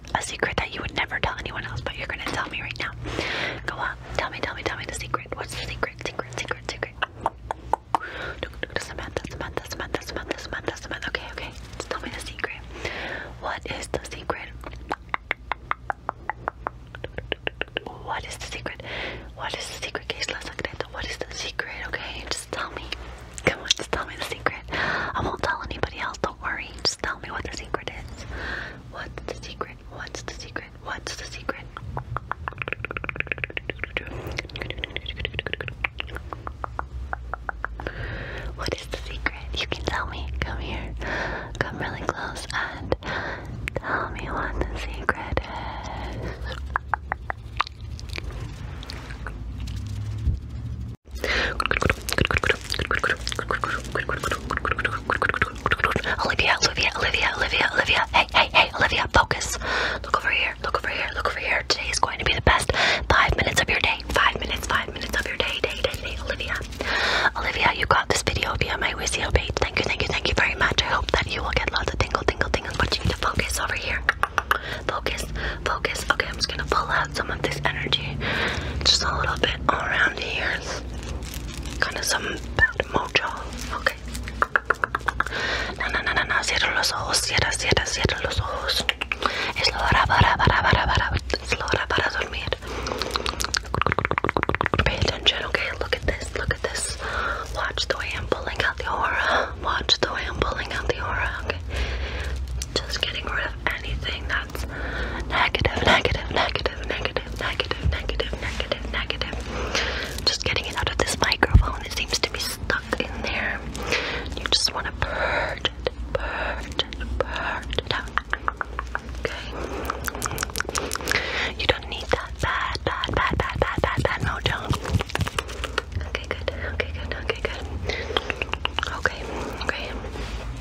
like a secret that you would never tell anyone else, but you're gonna tell me right now. Go on, tell me, tell me, tell me the secret. What's the secret? Secret, secret, secret. Samantha, Samantha, Samantha, Samantha, Samantha, Samantha. Okay, okay. Tell me the secret. What is the secret? What is the secret? What is the secret, Keisla Secreto? What is the secret? Okay, just tell me. Come on, just tell me the secret. I won't tell anybody else, don't worry. Just tell me what the secret is. What's the secret? What's the secret? What's the secret? What is the secret? You can tell me. Come here. Come really close and tell me what the secret is. Olivia, Olivia, Olivia, Olivia, Olivia. Hey, hey, hey, Olivia, focus. Look over here, look over here, look over here. Today is going to be the best five minutes of your day. Five minutes, five minutes of your day, day, day, day, Olivia. Olivia, you got this video via my Wizio page. Thank you, thank you, thank you very much. I hope that you will get lots of tingle, tingle, tingle. But you need to focus over here. Focus, focus. Okay, I'm just gonna pull out some of this energy. Just a little bit around the ears. Kind of some bad mojo. Okay. No, no, no, no, no. Cierra los ojos. Cierra, cierra, cierra los ojos. Es la hora para, para, para, para. Es hora para dormir. Pay attention, okay? Look at this. Look at this. Watch the way I'm pulling out the aura. Watch the way I'm pulling out the aura, okay? Just getting rid of anything that's negative, negative, negative, negative negative, negative, negative, negative, negative. Just getting it out of this microphone. It seems to be stuck in there. You just want to purge it, purge it, purge it out. Okay. You don't need that bad, bad, bad, bad, bad, bad, bad mojo. Okay, good. Okay, good. Okay, good. Okay, okay.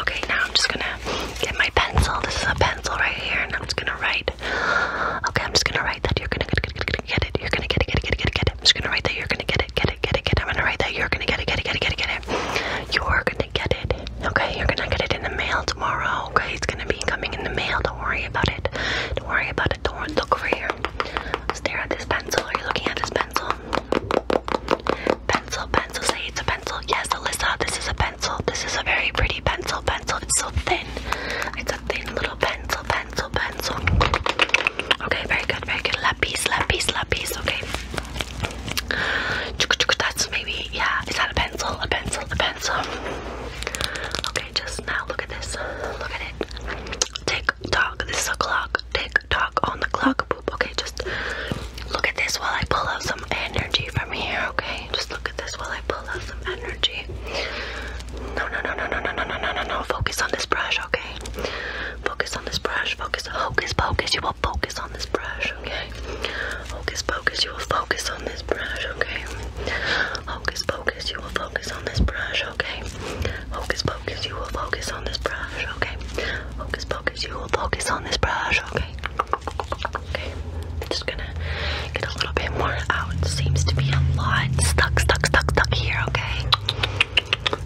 Okay, now I'm just gonna get my pencil. This is a pencil right here, and I'm just gonna write. Okay, I'm just gonna write that you're gonna get it, get it, you're gonna get it, get it, get it, get it. I'm just gonna write that you're gonna get it, get it, get it, get it. I'm gonna write that you're gonna get it, get it, get it, get it, get it. You're gonna get it. Okay, you're gonna get it in the mail tomorrow. Okay, it's gonna be coming in the mail. Don't worry about it. Don't worry about it. Don't look over here. Stare at this pencil. Are you looking at this pencil? Pencil, pencil, say it's a pencil. Yes, Alyssa, this is a pencil. This is a very pretty pencil, pencil. It's so thin. It's a thin little pencil, pencil, pencil. Okay, very good, very good. Lapis, lapis, lapis, okay. That's maybe, yeah. Is that a pencil? A pencil, a pencil. Okay, just now look at this. Look at it. Tick tock, this is a clock. Tick tock on the clock. Okay, just look at this while I pull out some energy from here, okay? Just look at this while I pull out some energy. No, no, no, no, no, no, no, no, no, Focus on this brush, okay? Focus on this brush. Focus, focus, focus. You will focus on this brush, okay? Focus, focus. You will focus on this brush, okay? Focus, pocus. You will focus on this brush, okay? Hocus pocus. You will focus on this brush, okay? Focus, focus. You will focus on this brush, okay? Okay. just gonna get a little bit more out. Seems to be a lot stuck, stuck, stuck, stuck here, okay?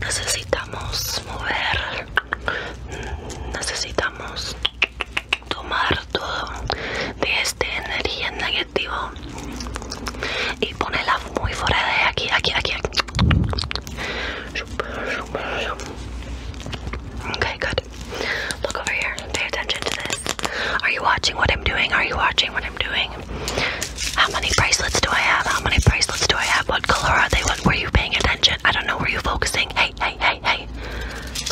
Necesitamos mover. Necesitamos tomar todo de este energía negativo. y ponerla muy fuera de aquí, aquí, aquí, aquí. Okay, good. Look over here. Pay attention to this. Are you watching what I'm doing? Are you watching what I'm doing? How many bracelets do I have? How many bracelets do I have? What color are they? What were you paying attention? I don't know. Were you focusing? Hey, hey, hey, hey.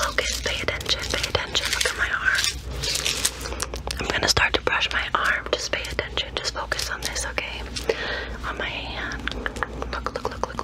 Focus. Pay attention. Pay attention. Look at my arm. I'm gonna start to brush my arm. Just pay attention. Just focus on this, okay? On my hand. Look, look, look, look,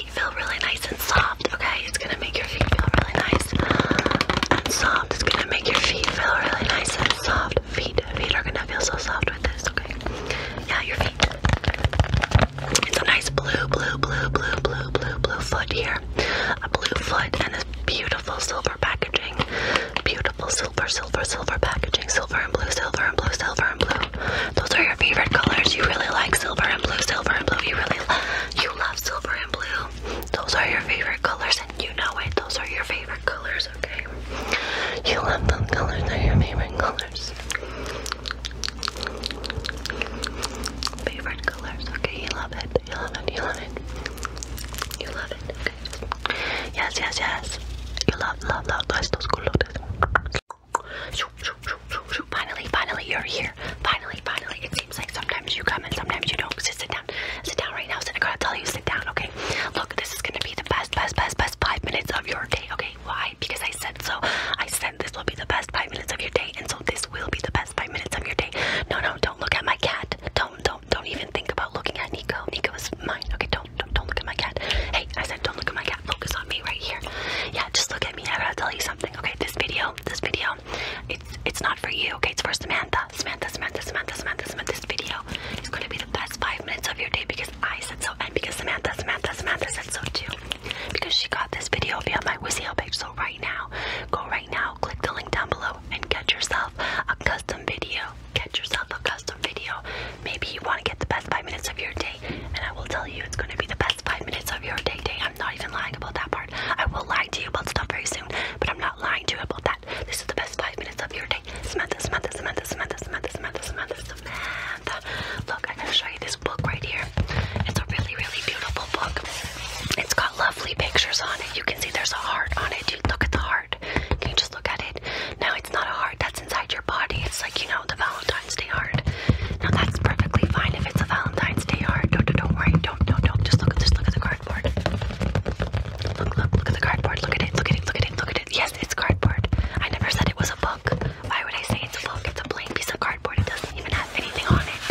feet feel really nice and soft, okay? It's gonna make your feet feel really nice and soft. It's gonna make your feet feel really nice and soft. Feet, feet are gonna feel so soft with this, okay? Yeah, your feet. It's a nice blue, blue, blue, blue, blue, blue, blue foot here. A blue foot and a beautiful silver packaging. Beautiful silver, silver, silver packaging. Silver and blue, silver and blue, silver and blue. Those are your favorite colors. You really like silver and blue, silver and blue. You really you love silver and blue. Those are your favorite colors, and you know it. Those are your favorite colors, okay? You love those colors, they're your favorite colors. Favorite colors, okay? You love it, you love it, you love it. You love it, okay? Yes, yes, yes. You love, love, love, those colors. Finally, finally, you're here. Finally, finally. It seems like sometimes you come and sometimes you don't. Just sit down. Sit down right now. Sit, I gotta tell you, sit down, okay? Look, this is gonna be the best, best, best, best five minutes of your day, okay? Why? Because I said so. I said this will be the best five minutes of your day, and so this will be the best five minutes of your day. No, no, don't look at my cat. Don't, don't, don't even think about looking at Nico. Nico is mine, okay? Don't, don't, don't look at my cat. Hey, I said don't look at my cat. Focus on me right here. Yeah, just look at me. I gotta tell you something, okay? This video no, this video, it's it's not for you, okay? It's for Samantha. Samantha, Samantha, Samantha, Samantha, Samantha. This video is gonna be the best five minutes of your day because I said so and because Samantha, Samantha, Samantha said so too. Because she got this video via my WizHeal page. So right now, go right now, click the link down below and get yourself a custom video. Get yourself a custom video. Maybe you want to get the best five minutes of your day, and I will tell you it's gonna be the best five minutes of your day, day i not even lying about that part. I will lie to you about stuff very soon, but I'm not lying to you about that. This is the best five minutes of your day. Samantha, Samantha, Samantha, Samantha, Samantha, Samantha, Samantha, Samantha. Look, I'm gonna show you this book right here. It's a really, really beautiful book. It's got lovely pictures on it. You can see there's a heart on it. You look at the heart. Can you just look at it? No, it's not a heart. That's inside your body. It's like, you know, the Valentine's Day heart. Now that's perfectly fine if it's a Valentine's Day heart. Don't, don't, don't worry. Don't, don't, don't. Just look, just look at the cardboard. Look, look, look at the cardboard. Look at it. Look at it. Look at it. Look at it. Yes, it's cardboard. I never said it was a book. Why would I say it's a book? It's a plain piece of cardboard. It doesn't even have anything on it.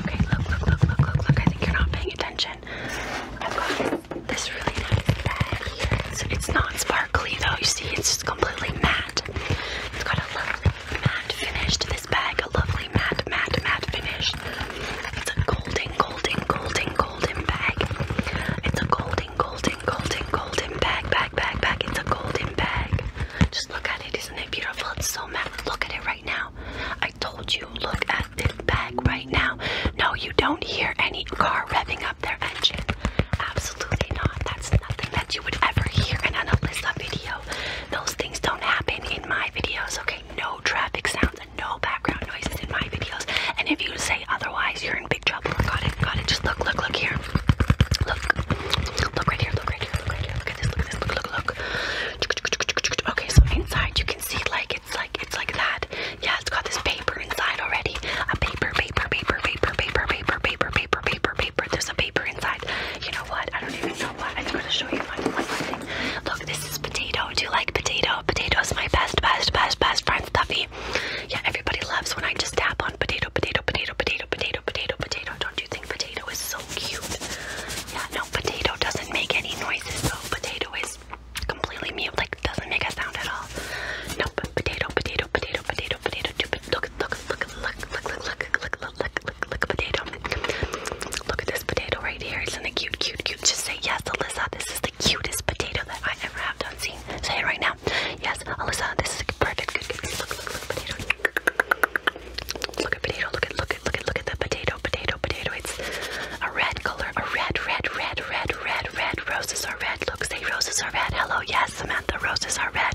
Okay, look, look, look, look, look, look. I think you're not paying attention. I've got this really nice bag here. It's, it's not sparkly though. You see, it's just completely matte. It's got a lovely matte finished. this bag. A lovely matte, matte, matte finish. It's a golden, golden, golden, golden bag. It's a golden, golden, golden, golden bag, bag, bag, bag. It's a golden bag. Just look at it. Isn't it beautiful? It's so matte. Look at it right now. I told you, look at this bag right now. No, you don't hear any car revving up their engine. Absolutely not. That's nothing that you would ever hear in an Alyssa video. Those things don't happen in my videos, okay? No traffic sounds and no background noises in my videos. And if you say otherwise, you're in big trouble. Got it, got it. Just look, look, look here. Look, look right here, look right here, look right here. Look at this, look at this, look, look, look. Okay, so inside you can see like it's like it's like that. Yeah, it's got this paper inside already. A paper, paper, paper, paper, paper, paper, paper, paper, paper, paper. There's a paper inside outside. You know what? I don't even know what. I'm gonna show you my, my, my thing. Look, this is potato. Do you like potato? Potato's my best, best, best, best friend stuffy. Yeah, everybody loves when I just tap on potato, potato, potato, potato, potato, potato, potato. Don't you think potato is so cute? Yeah, no, potato doesn't make any noises though. Potato is completely mute, like doesn't make a sound at all. No, but potato, potato, potato, potato, potato. Look, look, look, look, look, look, look, look, look, look, look, look, potato. Look at this potato right here. Isn't it cute, cute, cute? Just say yes, Alyssa. This is the cutest potato that I ever have done. See, say it right now. Yes, Alyssa. This is perfect. Good, good, good. Look, look, look, potato. Look at potato. Look at, look at, look at, look at the potato, potato, potato. It's a red color. A red, red, red, red, red, red. Roses are red. Look, say roses are red. Hello, yes, Samantha. Roses are red.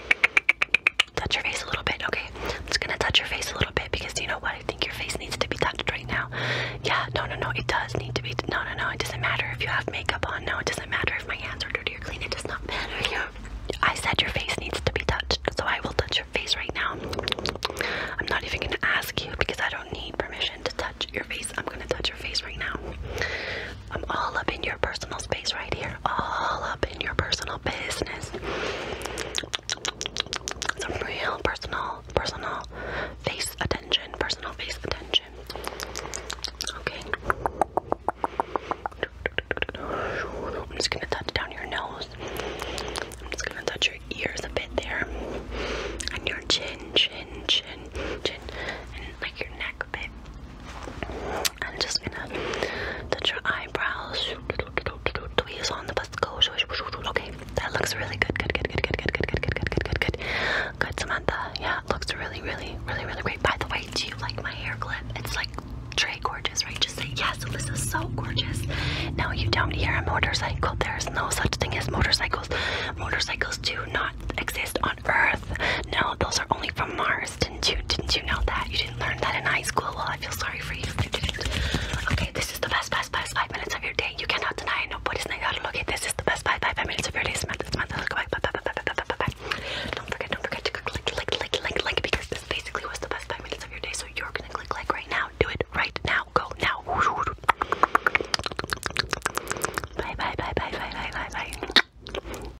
Touch your face a little bit, okay? i just gonna touch your face a little bit because you know what? I think your face needs to be touched right now. Yeah, no, no, no, it does need to be. No, no, no, it doesn't matter if you have makeup on. No, it doesn't matter if my hands are dirty or clean. It does not matter. I said your face needs to be touched, so I will touch your face right now. I'm not even gonna ask you because I don't need permission to touch your face. I'm gonna touch your face right now. I'm all up in your personal space right here. All up in your personal business. Some real personal, personal face attention. Personal face attention. Okay. I'm just gonna touch down your nose. I'm just gonna touch your ears a bit there. And your chin, chin, chin, chin, and like your neck a bit. I'm just gonna touch your eyebrows. Tweeze on the bus go. Okay, that looks really good. Good, good, good, good, good, good, good, good, good, good, good, good. Good, Samantha. Yeah, looks really, really, really, really great. By the way, do you like my hair clip? It's like very gorgeous, right? Just say yes. This is so gorgeous. No, you don't hear a motorcycle. There's no such thing as motorcycles. Motorcycles do not exist Earth. No, those are only from Mars. Didn't you? Didn't you know that? You didn't learn that in high school. Well, I feel sorry for you you didn't. Okay, this is the best, best, best five minutes of your day. You cannot deny it. Nobody's gonna look at this. Is the best five, five minutes of your day. Don't forget, don't forget to click, click, click, click, click, because this basically was the best five minutes of your day. So you're gonna click like right now. Do it right now. Go now. Bye, bye, bye, bye, bye, bye, bye, bye.